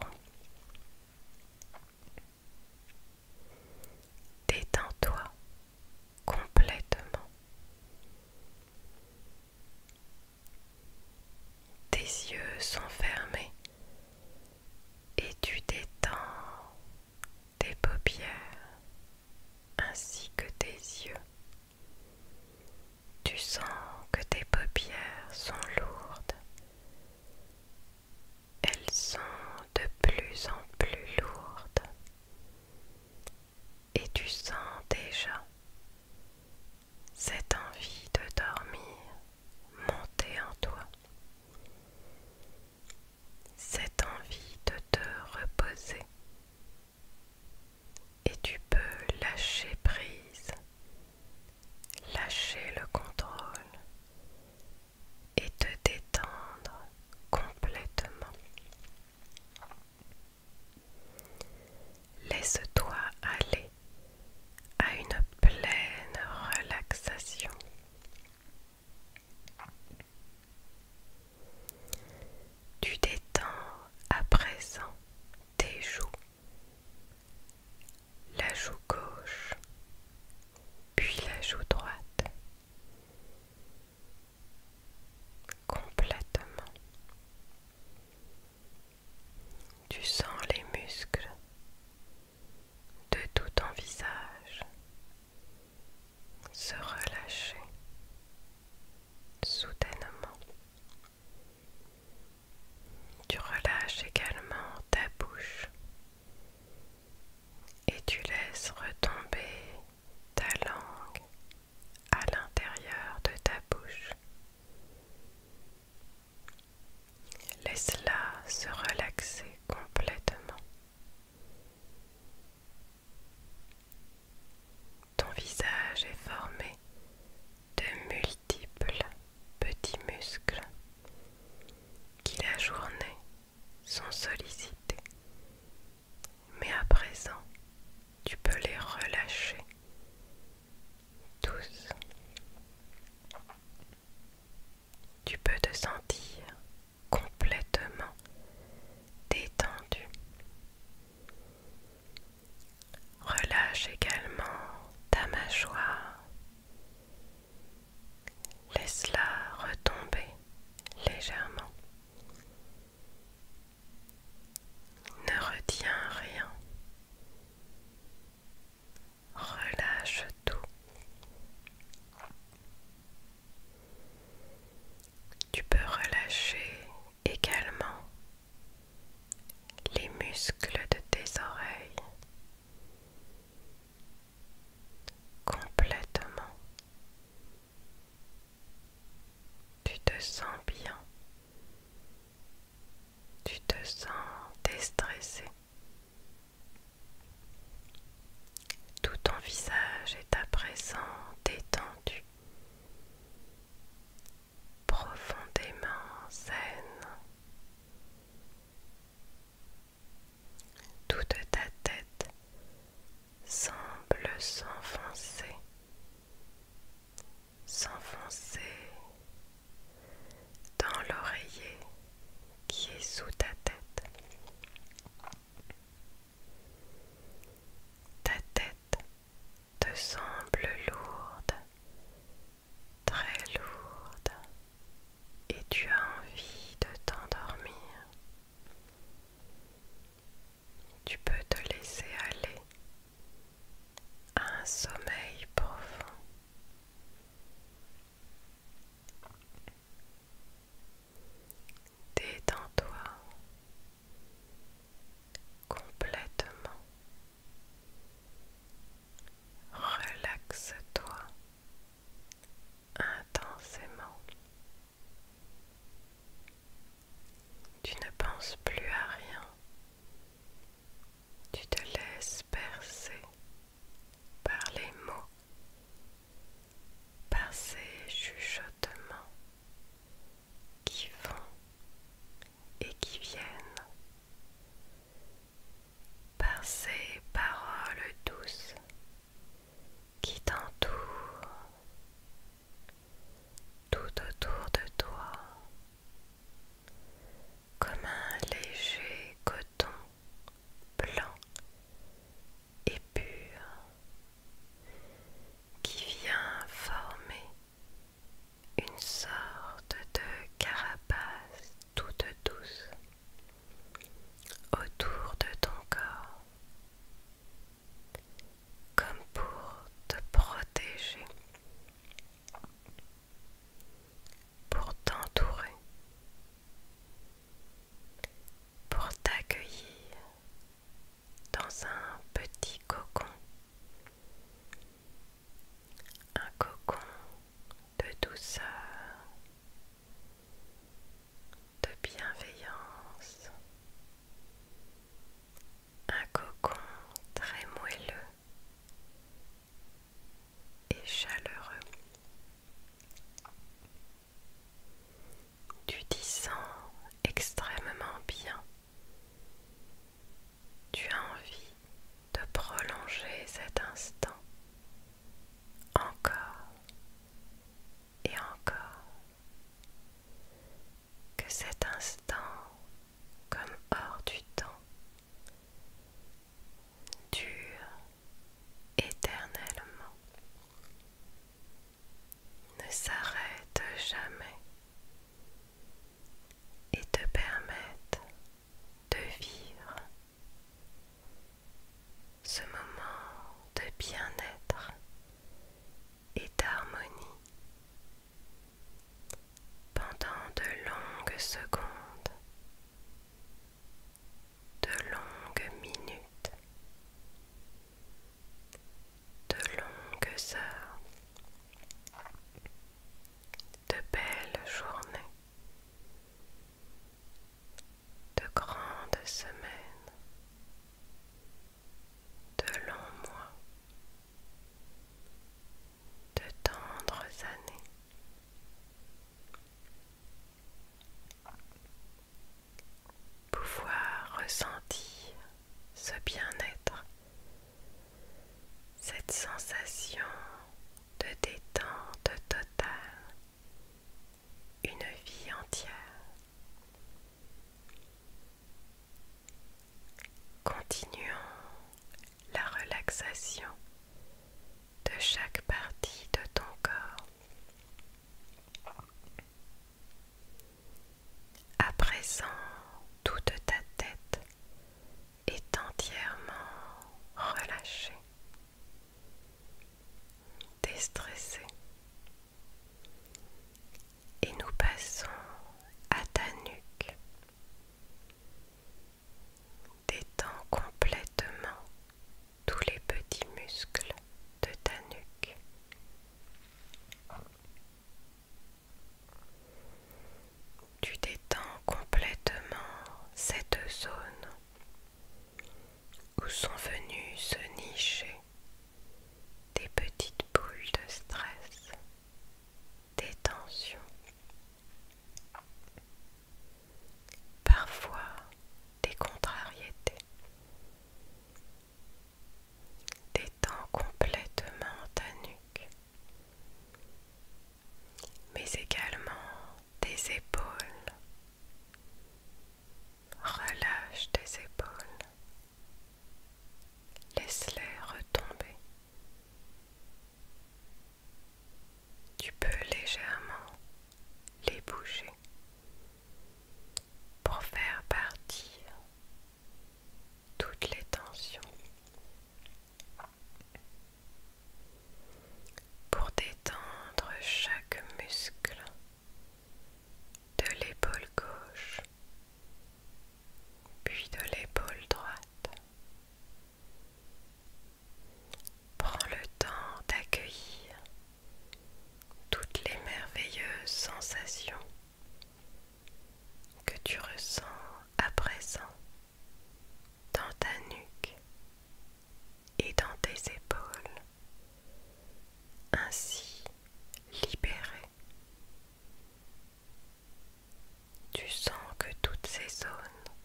Détends-toi complètement. Tes yeux sont fermés et tu détends tes paupières ainsi que tes yeux. Tu sens que tes paupières sont lourdes elles sont de plus en plus lourdes et tu sens déjà cette envie de dormir monter en toi, cette envie de te reposer et tu peux lâcher prise lâcher le contrôle et te détendre complètement. Laisse-toi aller à une pleine relaxation. Tu détends à présent tes joues, la joue gauche, puis la joue droite, complètement. Tu sens les muscles de tout ton visage se relâcher soudainement. Tu relâches également ta bouche et tu laisses retomber ta langue à l'intérieur de ta bouche. Laisse-la se relaxer complètement. Ton visage est formé de petits muscles qui la journée sont sollicités. Mais à présent, tu peux les relâcher tous. Tu peux te sentir complètement détendu. Relâche également ta mâchoire, Laisse-la retomber légèrement. Ne retiens rien. Relâche tout. Tu peux relâcher également les muscles de tes oreilles, complètement. Tu te sens bien. Tu te sens déstressé. Tout ton visage est à présent détendu, profondément saine. Toute ta tête semble s'enfoncer, s'enfoncer dans l'oreiller qui est sous ta tête. Ta tête te semble lourde, très lourde et tu as envie de t'endormir. Tu peux te laisser aller à un sommeil profond. Détends-toi complètement. Relaxe-toi intensément. Tu ne penses plus à rien. Tu te laisses percer par les mots, par ces chuchotements qui vont et qui viennent par ces paroles douces qui t'entourent tout autour de toi comme un léger coton blanc et pur qui vient former une sorte de carapace toute douce autour de ton corps comme pour te protéger, pour t'entourer, pour t'accueillir dans un petit cocon, un cocon de douceur, de bienveillance, un cocon très moelleux et chaleureux. Tu t'y sens extrêmement bien. Tu as envie de prolonger cet instant encore et encore que cet instant, comme hors du temps, dure éternellement, ne s'arrête jamais et te permette de vivre ce moment de bien-être et d'harmonie pendant de longues secondes, de longues minutes, de longues heures, de belles journées de grandes semaines, de longs mois, de tendres années. Pouvoir ressentir ce bien-être, cette sensation de détente totale, une vie entière. Continuons la relaxation de chaque partie de ton corps. À présent, toute ta tête est entièrement relâchée déstresser. Et nous passons à ta nuque. Détends complètement tous les petits muscles de ta nuque. Tu détends complètement cette zone où sont venues se nicher des petites boules de stress, des tensions. Parfois des contrariétés, des temps complètement à nuque, mais également tes épaules. Relâche tes épaules. Laisse-les retomber. Tu peux légèrement les bouger pour faire partir toutes les tensions pour détendre chaque muscle de l'épaule gauche, puis de l'épaule droite. Prends le temps d'accueillir toutes les merveilleuses sensations que tu ressens à présent dans ta nuque et dans tes épaules, ainsi libérées Tu sens que toutes ces zones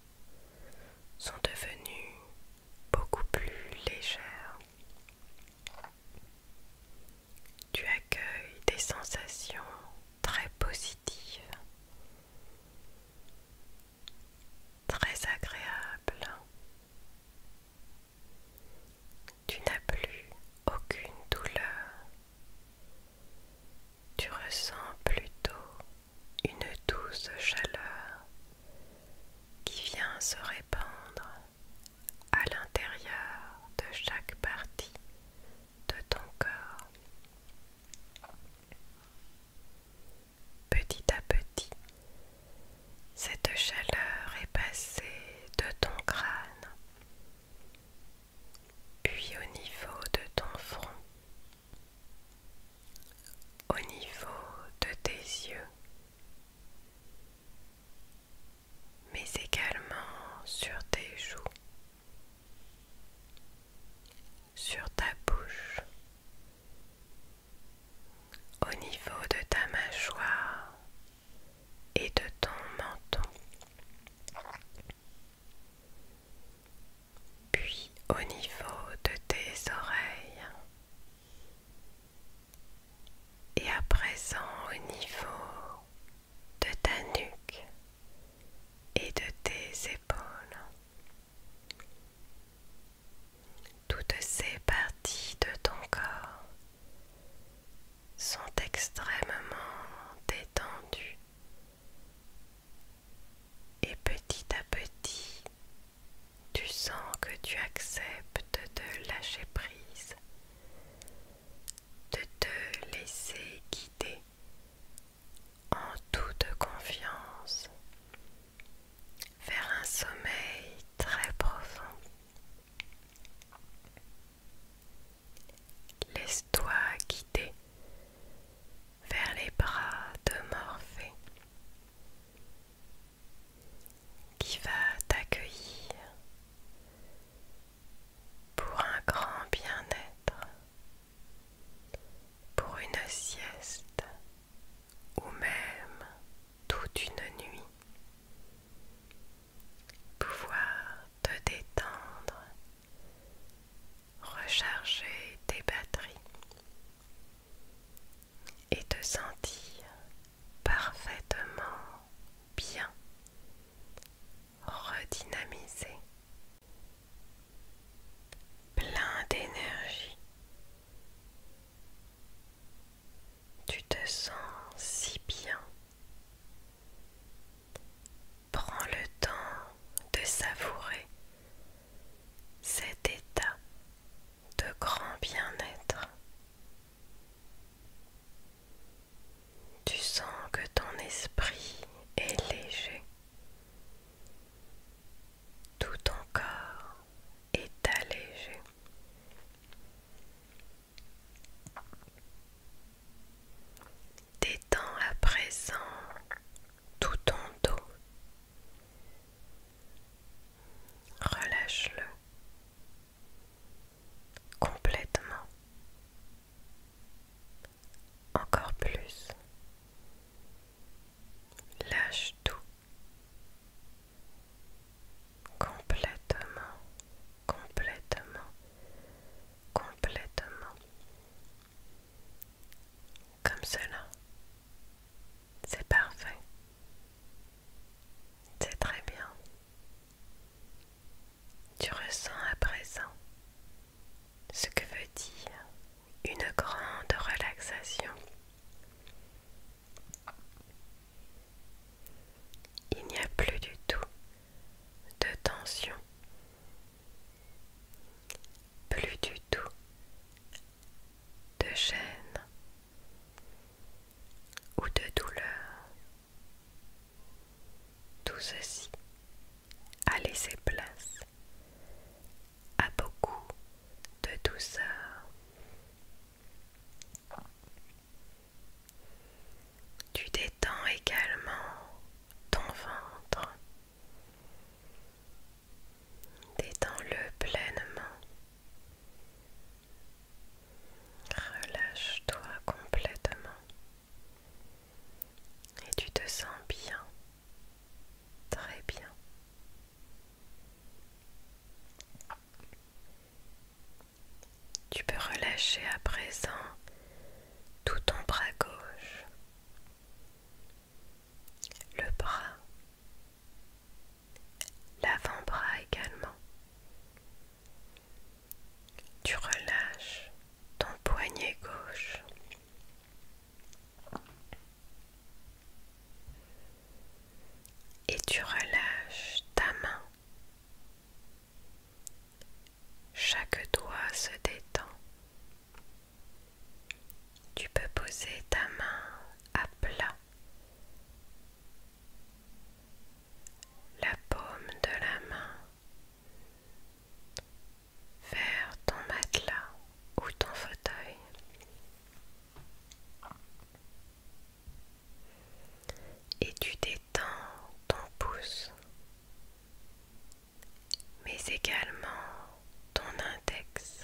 sont devenues beaucoup plus légères. Tu accueilles des sensations très positives très agréable. Tu n'as plus aucune douleur. Tu ressens plutôt une douce chaleur qui vient se répandre à l'intérieur de chaque partie de ton corps petit à petit, cette chaleur est passée de ton crâne, puis au niveau de ton front, au niveau de tes yeux, mais également sur tes joues sur ta bouche, au niveau de ta mâchoire et de ton menton, puis au niveau de tes oreilles. Et à présent au niveau de ta nuque et de tes épaules. Toutes ces parties de ton corps sont extrêmement détendues et petit à petit tu sens que tu acceptes de lâcher prise, de te laisser guider en toute confiance vers un sommeil très profond. Laisse-toi guider vers les bras de Morphée qui va t'accueillir pour un grand bien-être, pour une sieste ou même toute une nuit. Pouvoir te détendre, recharger tes batteries et te sentir parfaitement bien redynamisé plein d'énergie. Tu te sens si bien. Prends le temps de savourer cet état de grand bien-être. Tu sens que ton esprit est léger, tout ton corps est allégé. Détends à présent tout ton dos. Relâche-le complètement. Encore plus. Lâche tout. Complètement, complètement, complètement. Comme cela. C'est parfait. C'est très bien. Tu ressens à présent ce que veut dire une grande relaxation. Il n'y a plus du tout de tension, plus du tout de gêne ou de douleur. Tout ceci a laissé place à beaucoup de douceur. Tu détends également ton ventre. Détends-le pleinement. Relâche-toi complètement. Et tu te sens bien. Très bien. Tu peux relâcher à présent tout ton bras gauche, le bras, l'avant-bras également. Tu relâches ton poignet gauche, et tu relâches ta main. Chaque doigt se détend. Tu peux poser ta main à plat. La paume de la main vers ton matelas ou ton fauteuil. Et tu détends ton pouce, mais également ton index,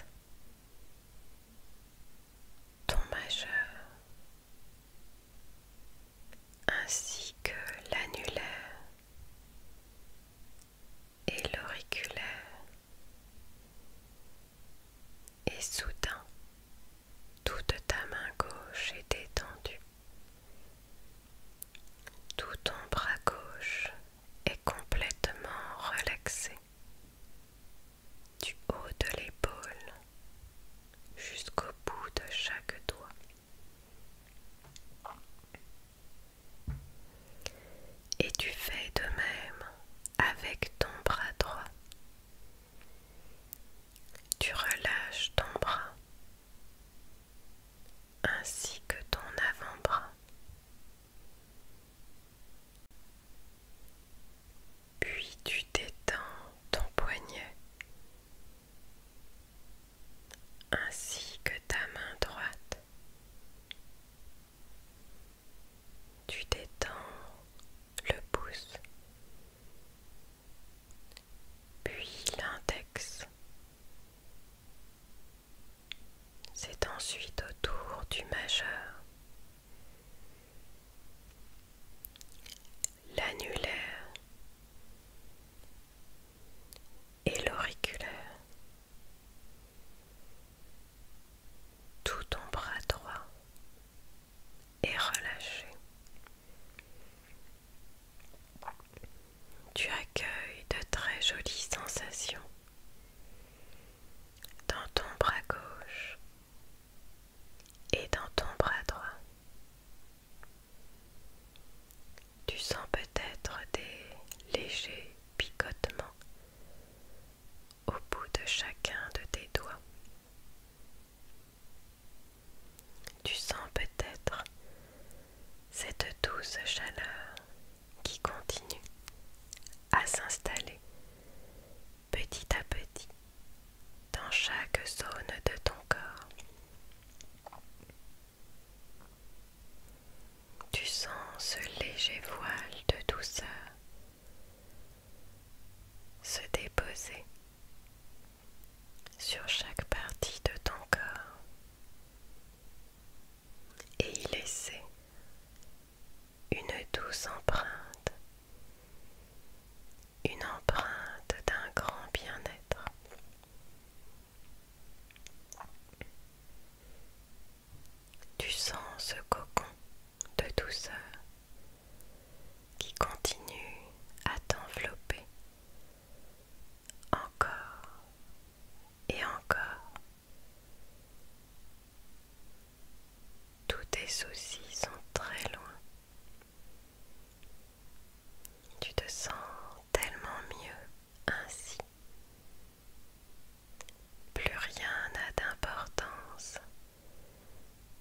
ton majeur, ainsi que l'annulaire et l'auriculaire. Et soudain, toute ta main gauche est détendue. Tout ton bras gauche est complètement relaxé. Du haut de l'épaule jusqu'au bout de chaque doigt. Et tu fais de même avec ton bras droit. Tu relâches ton bras ainsi que ton avant-bras. Puis tu détends ton poignet ainsi que ta main droite. Tu détends le pouce, puis l'index. C'est ensuite autour du majeur. L'annulaire et l'auriculaire tout ton bras droit est relâché. Tu accueilles de très jolies sensations dans ton bras gauche et dans ton bras droit. Tu sens peut-être des légers picotements au bout de chacun de tes doigts. Tu sens peut-être cette douce chaleur qui continue à s'installer petit à petit dans chaque zone de ton corps. Tu sens ce léger voile de douceur se déposer sur chaque partie de ton corps et y laisser une douce empreinte, une empreinte d'un grand bien-être. Tu sens ce cocon de douceur qui continue à t'envelopper encore et encore. Tous tes soucis sont très loin. Tu te sens tellement mieux ainsi. Plus rien n'a d'importance,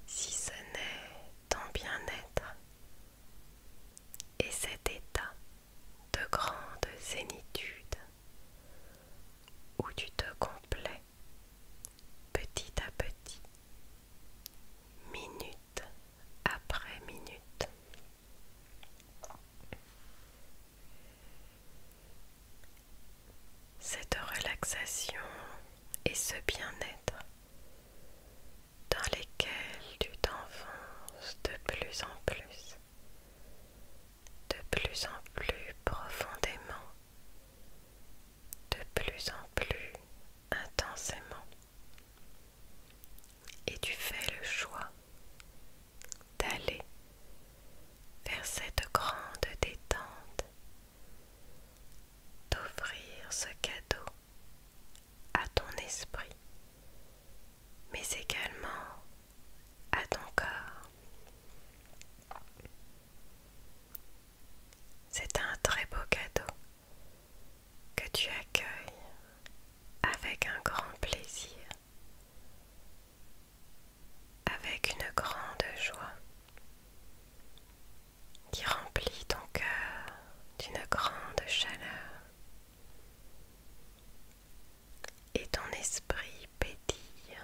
si ce n'est ton bien-être et cet état de grande zénitude où tu te complais petit à petit, minute après minute. Cette relaxation et ce bien-être dans lesquels tu t'enfonces de plus en plus, de plus en plus profondément, de plus en plus intensément. Et tu fais le choix d'aller vers cette grande détente, d'offrir ce cadeau à ton esprit, mais également à ton corps. C'est un très beau cadeau que tu accueilles avec un grand plaisir avec une grande joie qui remplit ton cœur d'une grande chaleur et ton esprit pétille.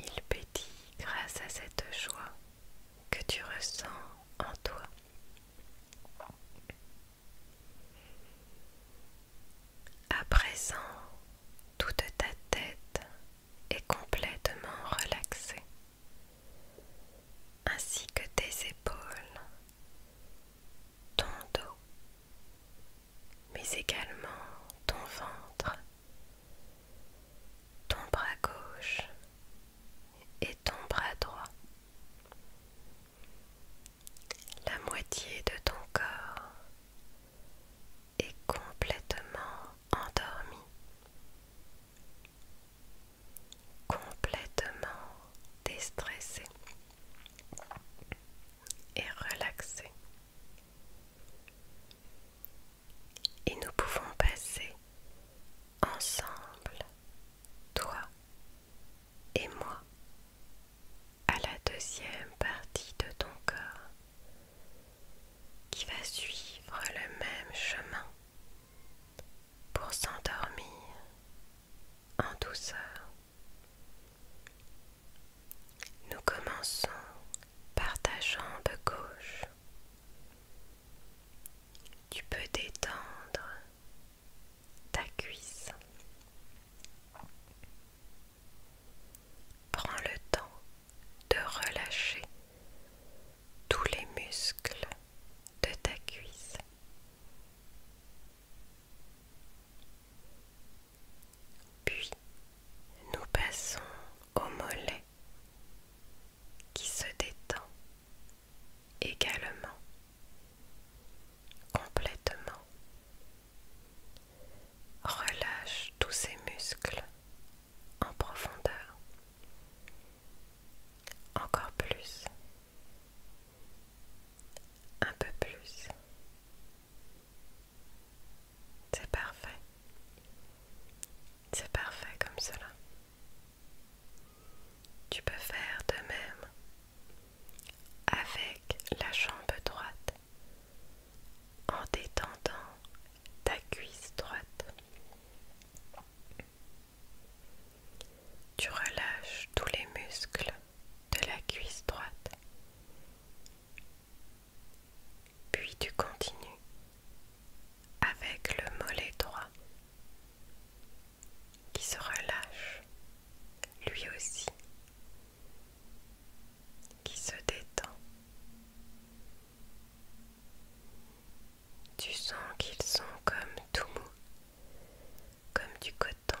Il pétille grâce à cette joie que tu ressens en toi. À présent, toute ta tête est complètement relaxée, ainsi que tes épaules, ton dos, mais également ton ventre, ton bras gauche et ton bras droit la moitié de ton corps est complètement endormie, complètement déstressée et relaxée. Et nous pouvons passer ensemble, toi et moi, à la deuxième partie de ton corps qui va suivre le même chemin pour s'endormir en douceur. Nous commençons par ta jambe gauche. Tu peux détendre ta cuisse. Prends le temps de relâcher tous les muscles de ta cuisse. Puis nous passons au mollet qui se détend également complètement Relâche tous ces muscles en profondeur. Encore plus. Un peu plus. C'est parfait. C'est parfait comme cela. Tu peux faire de même avec la jambe droite en détendant ta cuisse droite. Tu relâches tous les muscles de la cuisse droite. Puis tu continues avec le mollet droit qui se relâche lui aussi qui se détend. Tu sens qu'ils sont comme tout mou, comme du coton.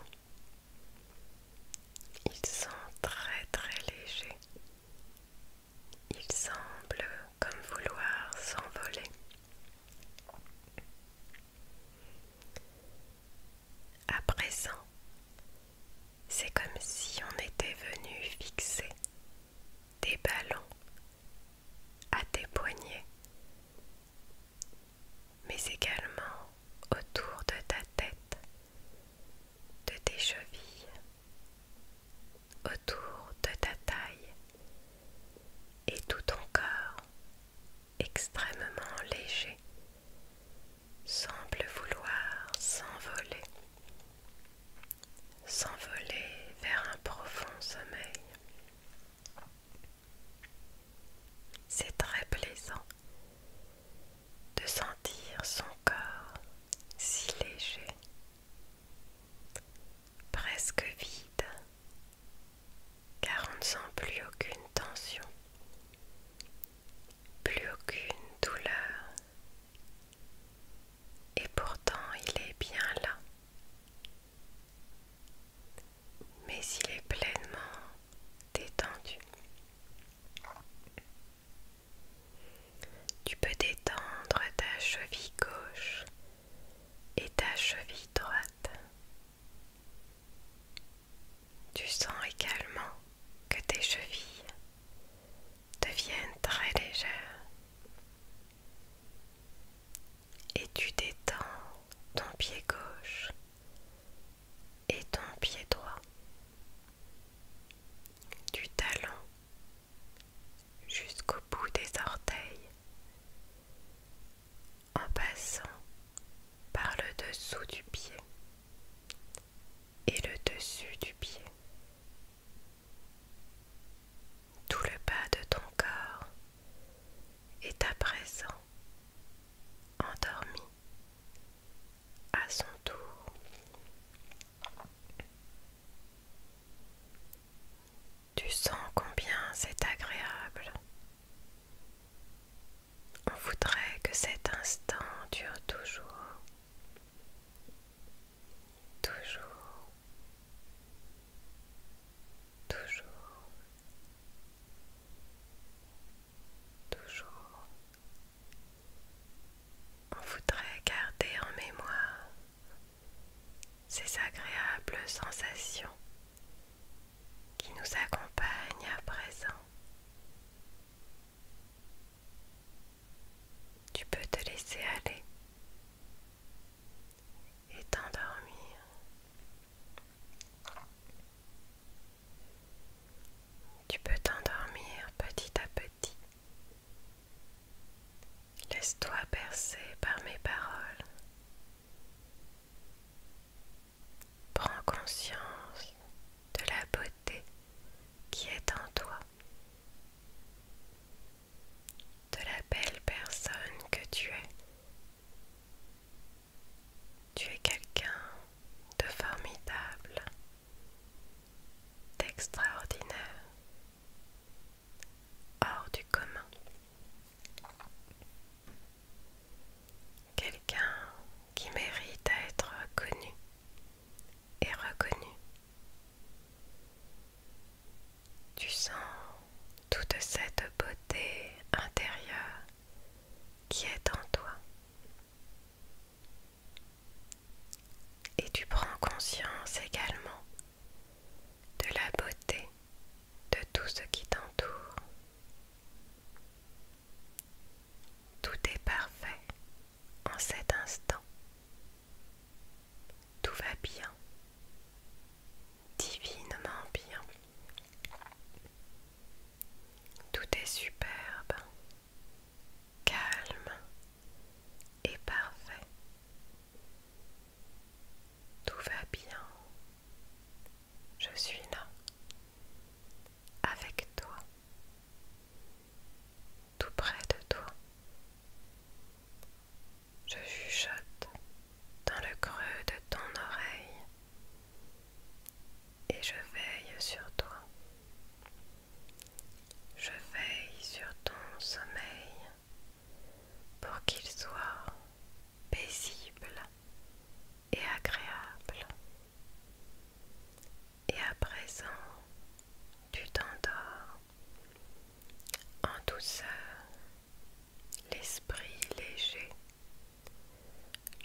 Ils sont très très légers. Ils semblent comme vouloir s'envoler. À présent, c'est comme si on était venu fixer des ballons à tes poignets, mais également autour de ta tête, de tes chevilles, autour de ta taille et tout ton corps extrêmement léger semble vouloir s'envoler, s'envoler vers un profond sommeil. C'est très plaisant de sentir son corps si léger, presque vide, car on ne sent plus aucune tension, plus aucune douleur. Et pourtant il est bien là. Mais il est pleinement détendu. Tu peux détendre ta cheville gauche et ta cheville droite. Tu sens également que tes chevilles deviennent très légères et tu détends ton pied gauche et ton pied droit du talon jusqu'au bout des orteils en passant par le dessous du pied et le dessus du pied. Tout le bas de ton corps est à présent endormi à son tour. Tu sens combien c'est agréable on voudrait que cet instant dure toujours, toujours, toujours, toujours. On voudrait garder en mémoire ces agréables sensations qui nous accompagnent à présent tu peux te laisser aller et t'endormir. Tu peux t'endormir petit à petit. Laisse-toi bercer par mes paroles. Prends conscience de la beauté qui est en toi, de la belle personne que tu es. Tu es quelqu'un de formidable, d'extraordinaire, hors du commun quelqu'un qui mérite d'être être connu et reconnu. Tu sens toute cette beauté intérieure qui est en toi. Et tu prends conscience également de la beauté de tout ce qui t'entoure. Tout est parfait en cet instant. Tout va bien, divinement bien. Tout est superbe, calme et parfait. Tout va bien. Je suis là avec toi, tout près de toi. Je chuchote dans le creux de ton oreille et je veille sur toi. Je veille sur ton sommeil pour qu'il soit paisible et agréable. Et à présent, tu t'endors en douceur, l'esprit léger,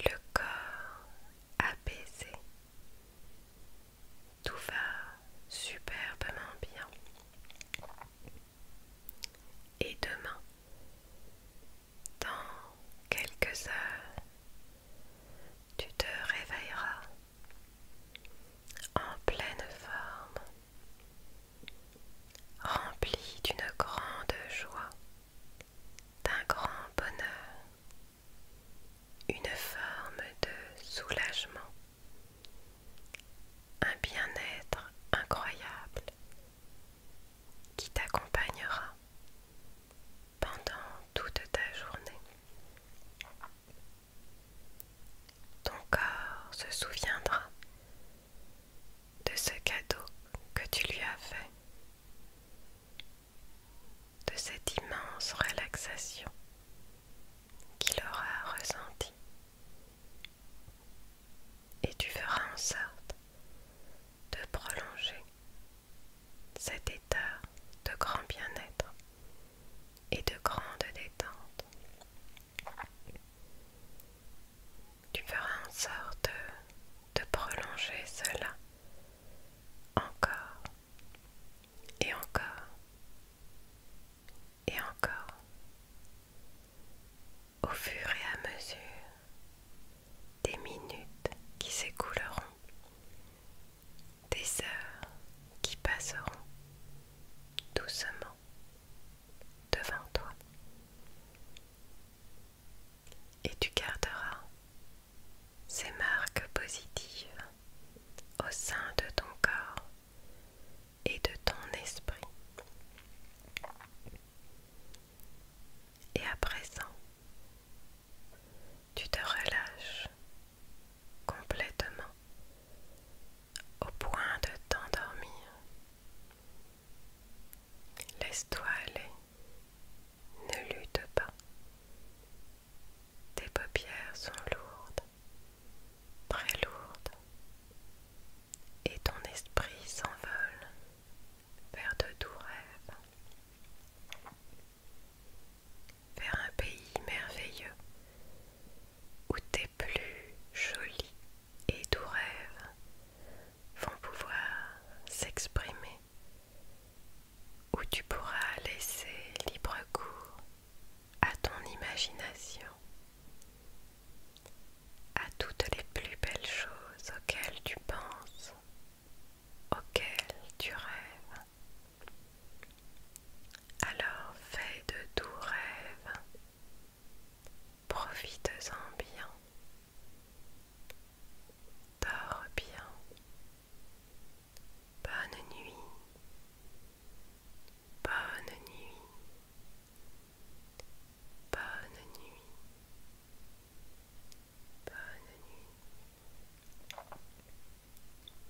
le corps apaisé. Tout va superbement bien. Et demain, dans quelques heures, tu te réveilleras en pleine forme, rempli d'une grande joie, d'un grand bonheur, une forme de soulagement, un bien-être incroyable qui t'accompagnera pendant toute ta journée. Ton corps se souviendra de ce cadeau que tu lui as fait, de cette immense relaxation qu'il aura ressentie. Et tu feras en sorte de prolonger cet état de grand bien-être et de grande détente. Tu feras en sorte de prolonger cela encore et encore et encore au fur et à mesure des minutes qui s'écouleront des heures qui passeront doucement devant toi et tu garderas ces marques positives au sein de ton corps et de ton esprit. Et à présent, tu te relâches complètement au point de t'endormir. Laisse-toi aller, ne lutte pas. Tes paupières sont lourdes, très lourdes, et ton esprit s'envole vers de doux rêves vers un pays merveilleux où tes plus jolis et doux rêves vont pouvoir s'exprimer, où tu pourras laisser libre cours à ton imagination, à toutes les plus belles choses auxquelles tu penses, auxquelles tu rêves. Alors fais de tout rêves, profites-en bien, dors bien, bonne nuit, bonne nuit, bonne nuit, bonne nuit.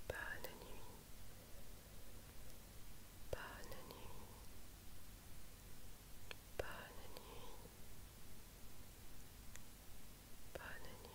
Bonne nuit. Bonne nuit. Bonne nuit. Bonne nuit. nuit. nuit. nuit.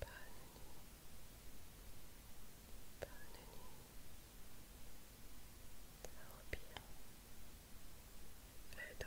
bonne nuit, bonne nuit, dors bien, fais de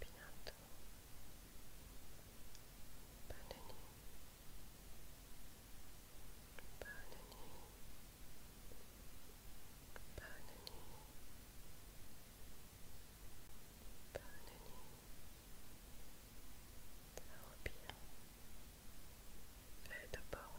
bientôt. Bonne nuit. Bonne nuit. Bonne nuit. Bonne nuit. bien. de beaux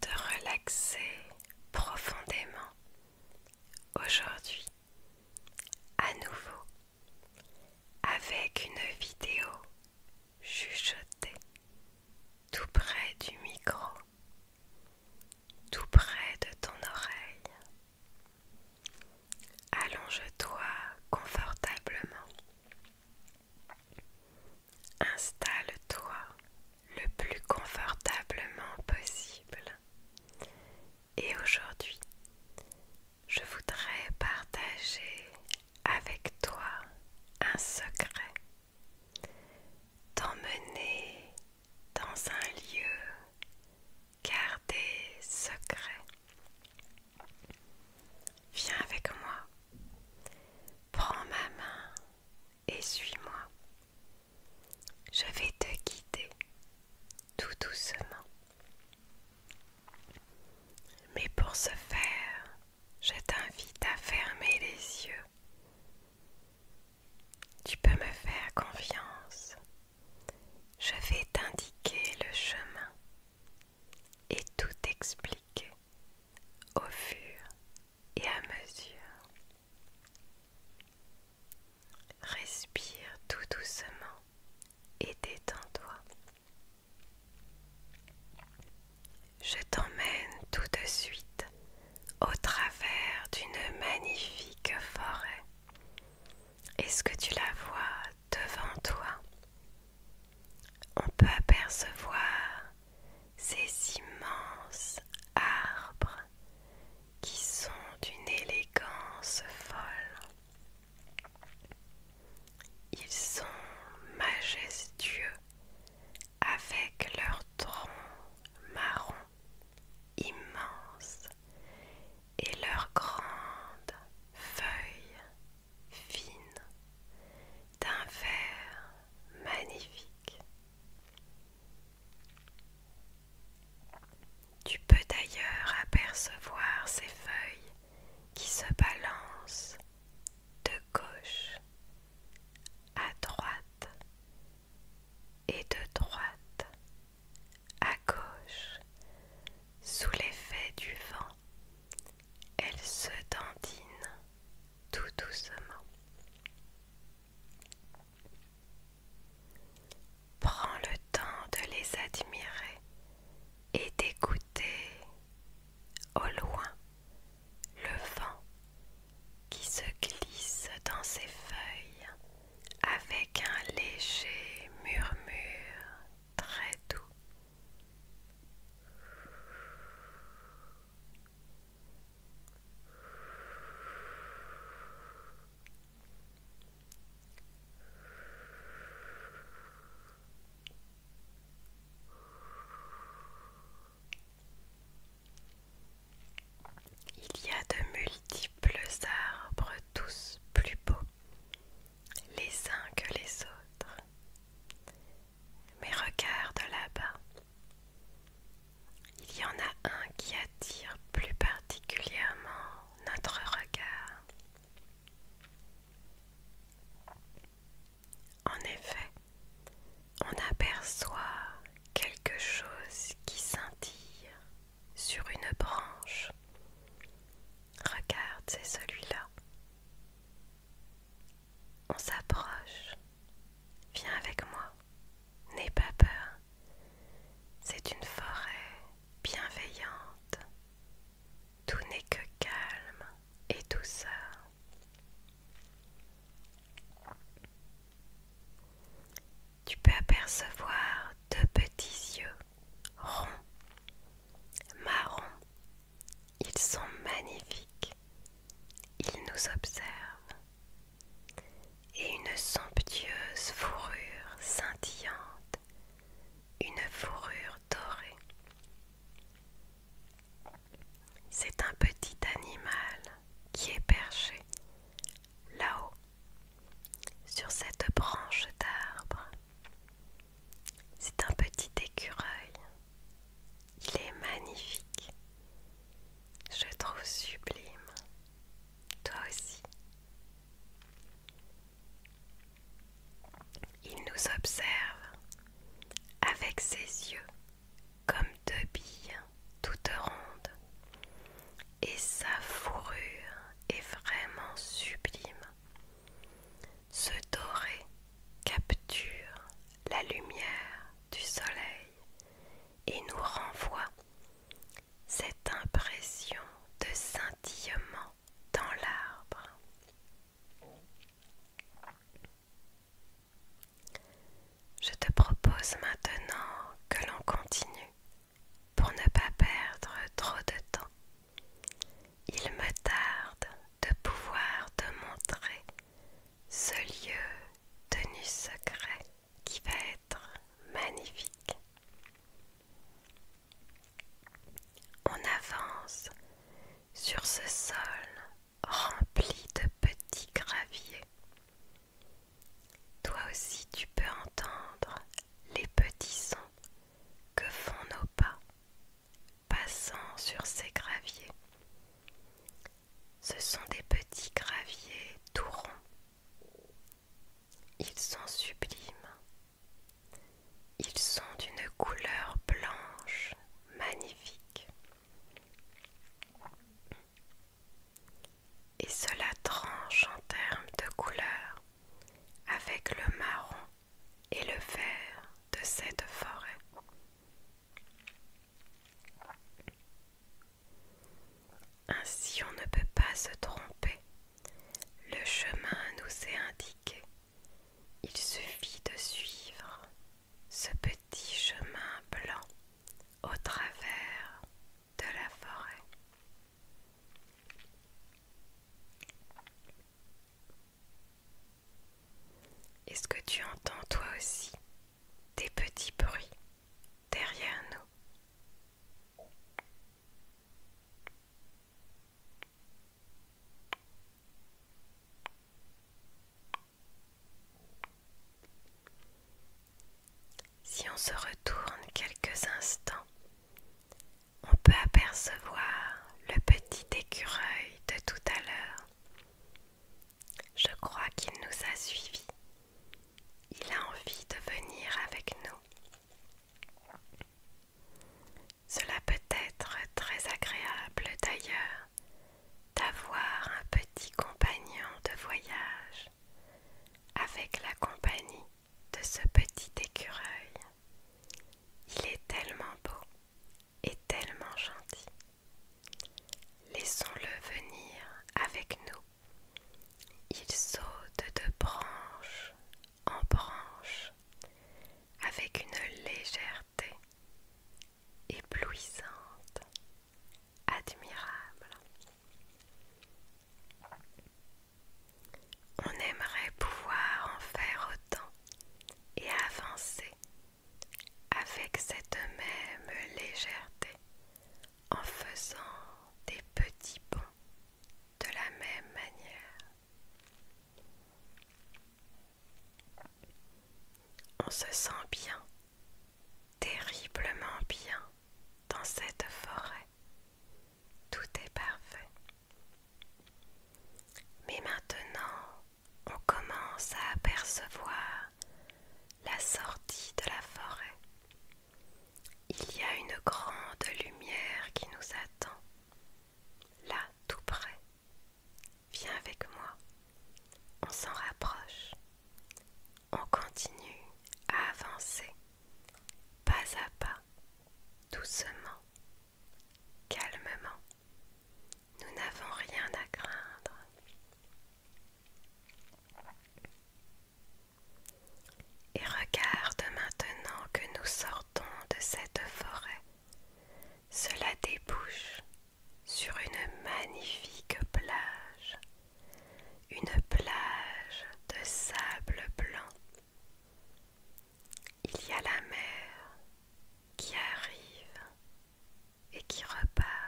de relaxer profondément aujourd'hui à nouveau avec une vidéo chuchotée tout près du micro, tout près de ton oreille. Allonge-toi confortablement. Installe-toi le plus confortablement possible. Et aujourd'hui, je voudrais partager avec toi un secret. T'emmener dans un lieu gardé secret. Viens avec moi. Prends ma main et suis-moi. Je vais te guider tout doucement. Mais pour ce faire, je t'invite à fermer les yeux. Tu peux me faire confiance. Je vais t'indiquer le chemin et tout expliquer au fur et à mesure. Respire tout doucement et détends-toi. Je t'emmène tout de suite au travers d'une magnifique forêt. Est-ce que tu la vois devant toi On peut apercevoir ces immenses arbres qui sont d'une élégance folle. Ils sont majestueux avec leurs troncs marron immenses et leurs grandes feuilles fines d'un vert magnifique. Tu peux d'ailleurs apercevoir ces feuilles qui se balancent de gauche à droite et de droite à gauche sous l'effet du vent. Elles se dandinent tout doucement. Prends le temps de les admirer et d'écouter au loin le vent qui se glisse dans ses feuilles avec un léger murmure très doux. Il y a de multiples arbres, tous plus beaux les uns que les autres. Mais regarde là-bas, il y en a un qui attire plus particulièrement notre regard. En effet, on aperçoit quelque chose qui scintille sur une branche. Regarde, c'est celui-là. On s'approche. Viens avec moi. N'aie pas peur, c'est une forêt bienveillante. Tout n'est que calme et douceur. Tu peux apercevoir deux petits yeux ronds, marrons. Ils sont magnifiques. Ils nous observent et une somptueuse fourrure scintillante, une fourrure dorée. C'est un petit animal qui est perché là-haut sur cette branche d'arbre. C'est un petit écureuil. Il est magnifique. Je trouve sublime. Toi aussi. Il nous observe avec ses yeux comme deux billes toutes rondes. Et sa fourrure est vraiment sublime. Ce doré capture la lumière du soleil et nous renvoie cette impression de scintillement dans l'arbre. Je te propose maintenant que l'on continue pour ne pas perdre trop de temps. Il me tarde de pouvoir te montrer ce lieu tenu secret qui va être magnifique. On avance sur ce sol rempli de petits graviers. Toi aussi tu peux entendre les petits sons que font nos pas passant sur ces graviers. Ce sont des petits graviers tout ronds. Ils sont sublimes. Ils sont d'une couleur blanche magnifique. Et cela tranche en termes de couleur avec le marron et le vert de cette forêt. Ainsi on ne peut pas se tromper. Le chemin nous est indiqué. Il suffit de suivre ce petit chemin blanc au travers de la forêt. Est-ce que tu entends toi aussi des petits bruits derrière nous. Si on se retourne quelques instants, on peut apercevoir le petit écureuil de tout à l'heure je crois qu'il nous a suivis. Il a envie de venir avec nous. Cela peut être très agréable d'ailleurs d'avoir un petit compagnon de voyage avec la compagnie de ce petit écureuil. Il est tellement beau et tellement gentil. Laissons-le venir avec nous. Il saute de branche en branche avec une légèreté éblouissante, admirable. On aimerait pouvoir en faire autant et avancer avec cette même légèreté en faisant des petits bonds de la même manière. On se sent bien, terriblement bien dans cette forêt. Tout est parfait. Mais maintenant, on commence à apercevoir la sortie de la forêt. Il y a une grande lumière qui nous attend, là tout près. Viens avec moi, on s'en rapproche. On continue à avancer, pas à pas, doucement, calmement. Nous n'avons rien à craindre. Et regarde maintenant que nous sortons de cette forêt. Cela débouche sur une magnifique plage, une plage de sable blanc. Il y a la mer qui arrive et qui repart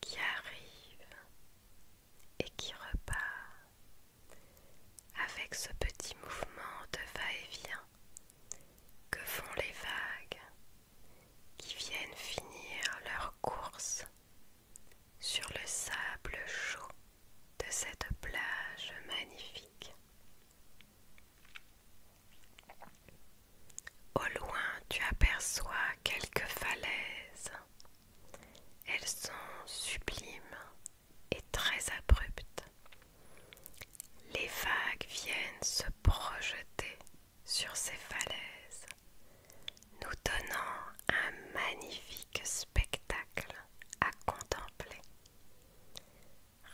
qui arrive et qui repart avec ce petit mouvement de va-et-vient que font les vagues qui viennent finir leur course sur le sable chaud de cette plage magnifique. Au loin, tu aperçois quelques falaises. Elles sont sublimes et très abruptes. Les vagues viennent se projeter sur ces falaises, nous donnant un magnifique spectacle à contempler.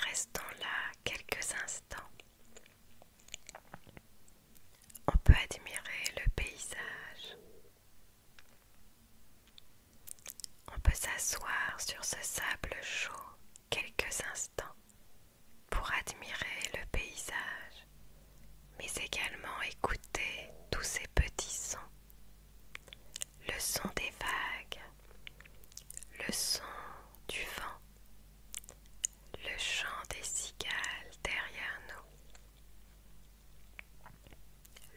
Restons là quelques instants on peut admirer le paysage. On peut s'asseoir sur ce sable chaud quelques instants pour admirer le paysage, mais également écouter tous ces petits sons. Le son des vagues, le son du vent, le chant des cigales derrière nous.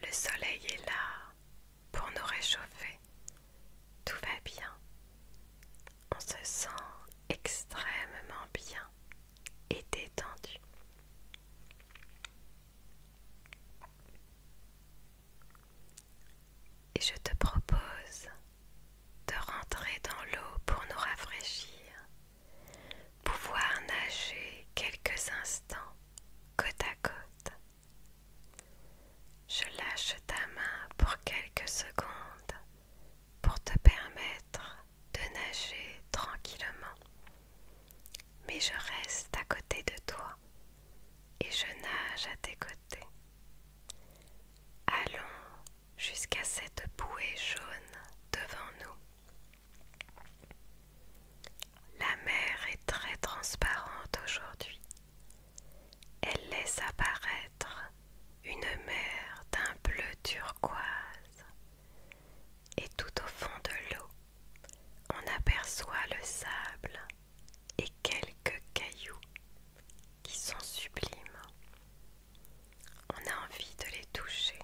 Le soleil est là pour nous réchauffer. Tout va bien. On se sent extrêmement bien et détendu. Et je te propose de rentrer dans l'eau pour nous rafraîchir, pouvoir nager quelques instants côte à côte. Je lâche ta main pour quelques secondes pour te permettre de nager tranquillement. Mais je reste à côté de toi et je nage à tes côtés. Allons jusqu'à cette bouée jaune devant nous. La mer est très transparente aujourd'hui. Elle laisse apparaître une mer d'un bleu turquoise. Et tout au fond de l'eau, on aperçoit le sable et quelques cailloux qui sont sublimes on a envie de les toucher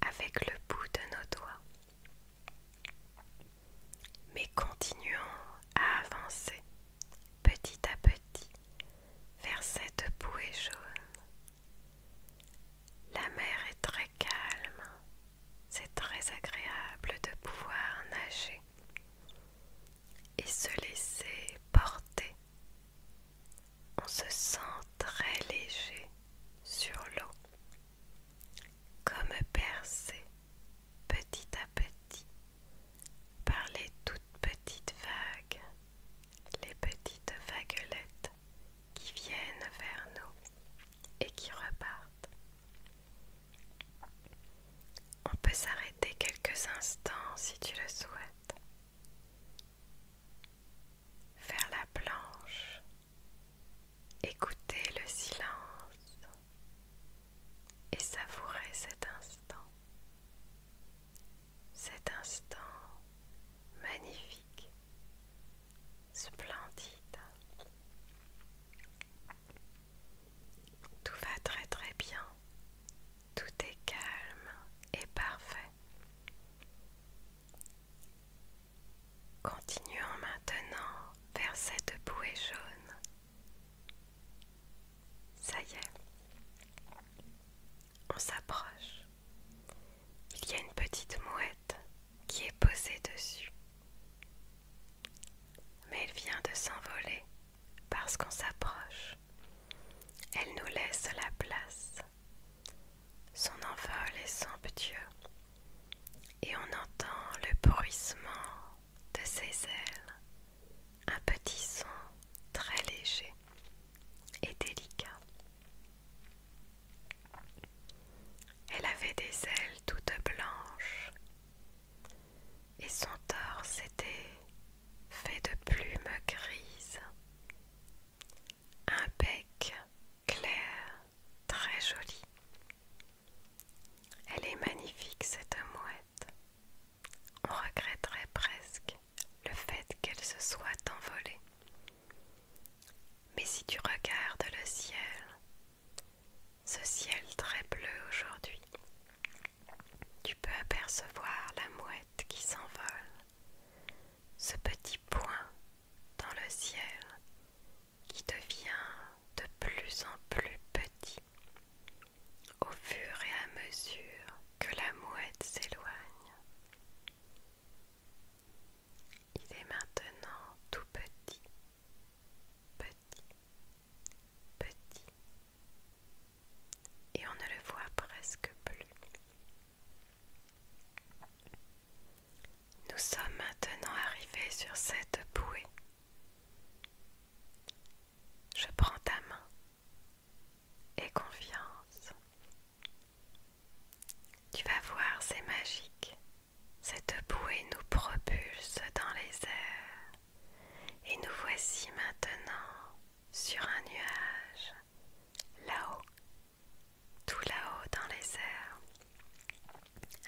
avec le bout de nos doigts. Mais continuons à avancer petit à petit vers cette bouée jaune. La mer est très calme, c'est très agréable de pouvoir nager et se laisser porter. On se sent très léger sur l'eau, comme percé petit à petit par les toutes petites vagues, les petites vaguelettes qui viennent vers nous et qui repartent. On peut s'arrêter quelques instants si tu le souhaites Faire la planche, écouter le silence et savourer cet instant, cet instant magnifique, splendide. Tout va très très bien tout est calme et parfait. Continuons maintenant vers cette bouée jaune. Ça y est, on s'approche. Il y a une petite mouette qui est posée dessus. Mais elle vient de s'envoler parce qu'on s'approche. Elle nous laisse la place. Son envol est somptueux et on entend le bruissement de ses ailes, un petit son très léger et délicat. Elle avait des ailes toutes blanches et son torse était fait de plumes grises, un bec clair, très joli. Elle est magnifique cette mouette. On regretterait presque le fait qu'elle se soit envolée. Mais si tu regardes le ciel, ce ciel très bleu aujourd'hui, tu peux apercevoir la mouette qui s'envole, ce petit point dans le ciel qui devient de plus en plus petit au fur et à mesure que la mouette s'éloigne. Il est maintenant tout petit, petit, petit, et on ne le voit presque plus. Nous sommes maintenant arrivés sur cette bouée. Je prends ta main et confiance. Tu vas voir, c'est magique. Cette bouée nous propulse dans les airs et nous voici maintenant sur un nuage, là-haut, tout là-haut dans les airs.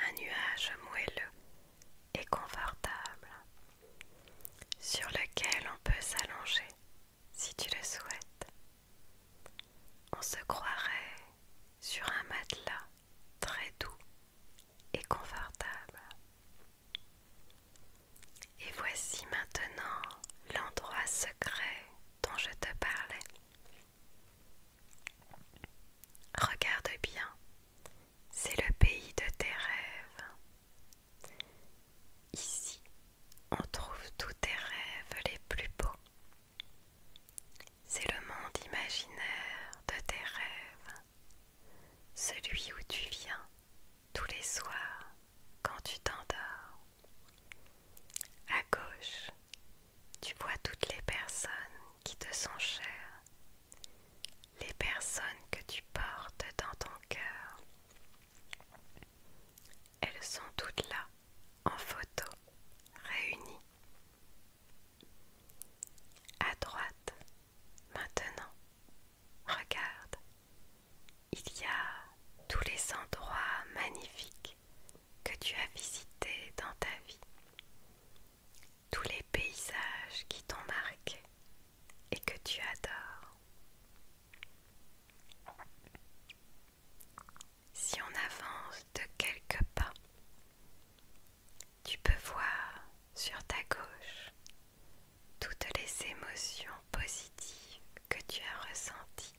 Un nuage moelleux et confortable, sur lequel on peut s'allonger si tu le souhaites. On se croirait sur un matelas très doux et confortable. Et voici maintenant l'endroit secret dont je te parlais. Regarde bien, c'est le pays de tes rêves. Ici, on trouve tous tes rêves les plus beaux. C'est le monde imaginaire de tes rêves, celui où tu viens tous les soirs quand tu t'endors. À gauche, tu vois toutes les personnes qui te sont chères, les personnes que tu portes dans ton cœur. Elles sont toutes là, en photo, réunies. À droite, maintenant, Regarde, il y a tous les endroits magnifiques que tu as visités dans ta vie, tous les paysages qui t'ont marqué et que tu adores. Si on avance de quelques pas, tu peux voir sur ta gauche toutes les émotions positives que tu as ressenti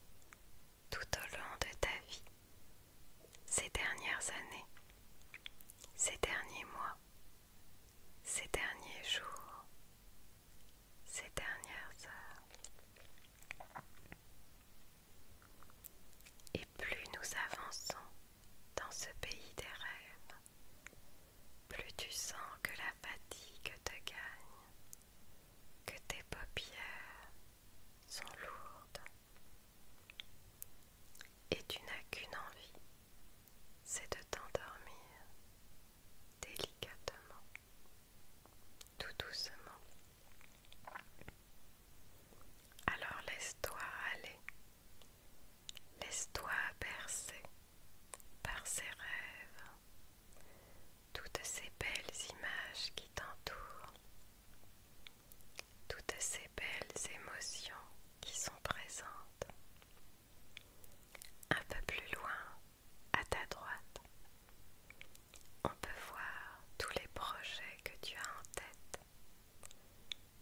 tout au long de ta vie, ces dernières années, ces derniers mois, ces derniers jours, ces dernières heures. Et plus nous avançons dans ce pays des rêves, plus tu sens que la fatigue te gagne, que tes paupières sont lourdes et tu n'as qu'une envie, c'est de t'endormir délicatement, tout doucement. Alors laisse-toi aller, laisse-toi bercer par ses rêves, toutes ces belles images qui t'entourent, toutes ces belles émotions qui sont présentes. Un peu plus loin, à ta droite, on peut voir tous les projets que tu as en tête,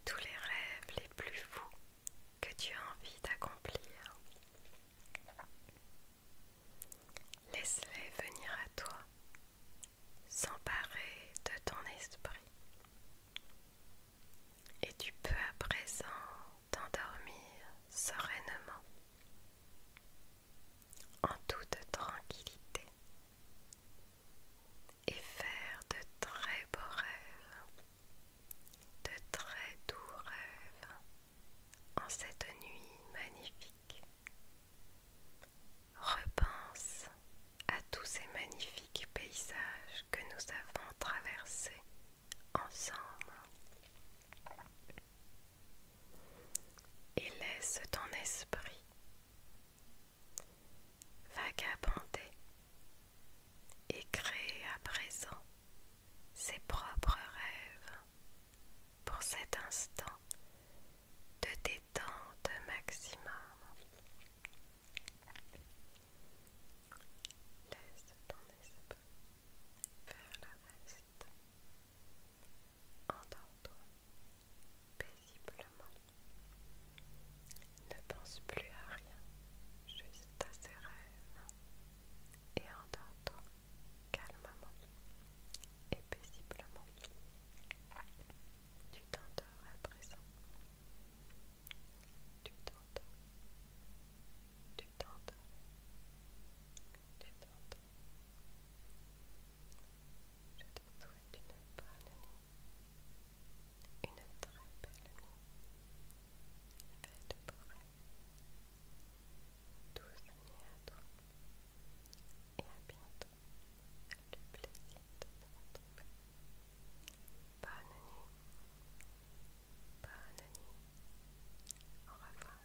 tous les rêves les plus fous que tu as envie d'accomplir. Laisse-les venir à toi, s'emparer de ton esprit. Et tu peux à présent t'endormir sereinement, en toute tranquillité, et faire de très beaux rêves, de très doux rêves en cette nuit magnifique. Repense à tous ces magnifiques paysages que nous avons traversés ensemble et laisse ton esprit vagabonder et créer à présent ses propres rêves pour cet instant de détente maximum. Laisse ton esprit faire le reste. endors paisiblement. Ne pense plus à rien, juste à ses rêves et entendre calmement et paisiblement. Tu t'endors à présent. Tu t'endors. Tu t'endors. Tu t'endors. Je te souhaite une bonne nuit. Une très belle nuit. Faites pour elle tous et à bientôt. Le plaisir de retrouver. Bonne nuit. Au revoir.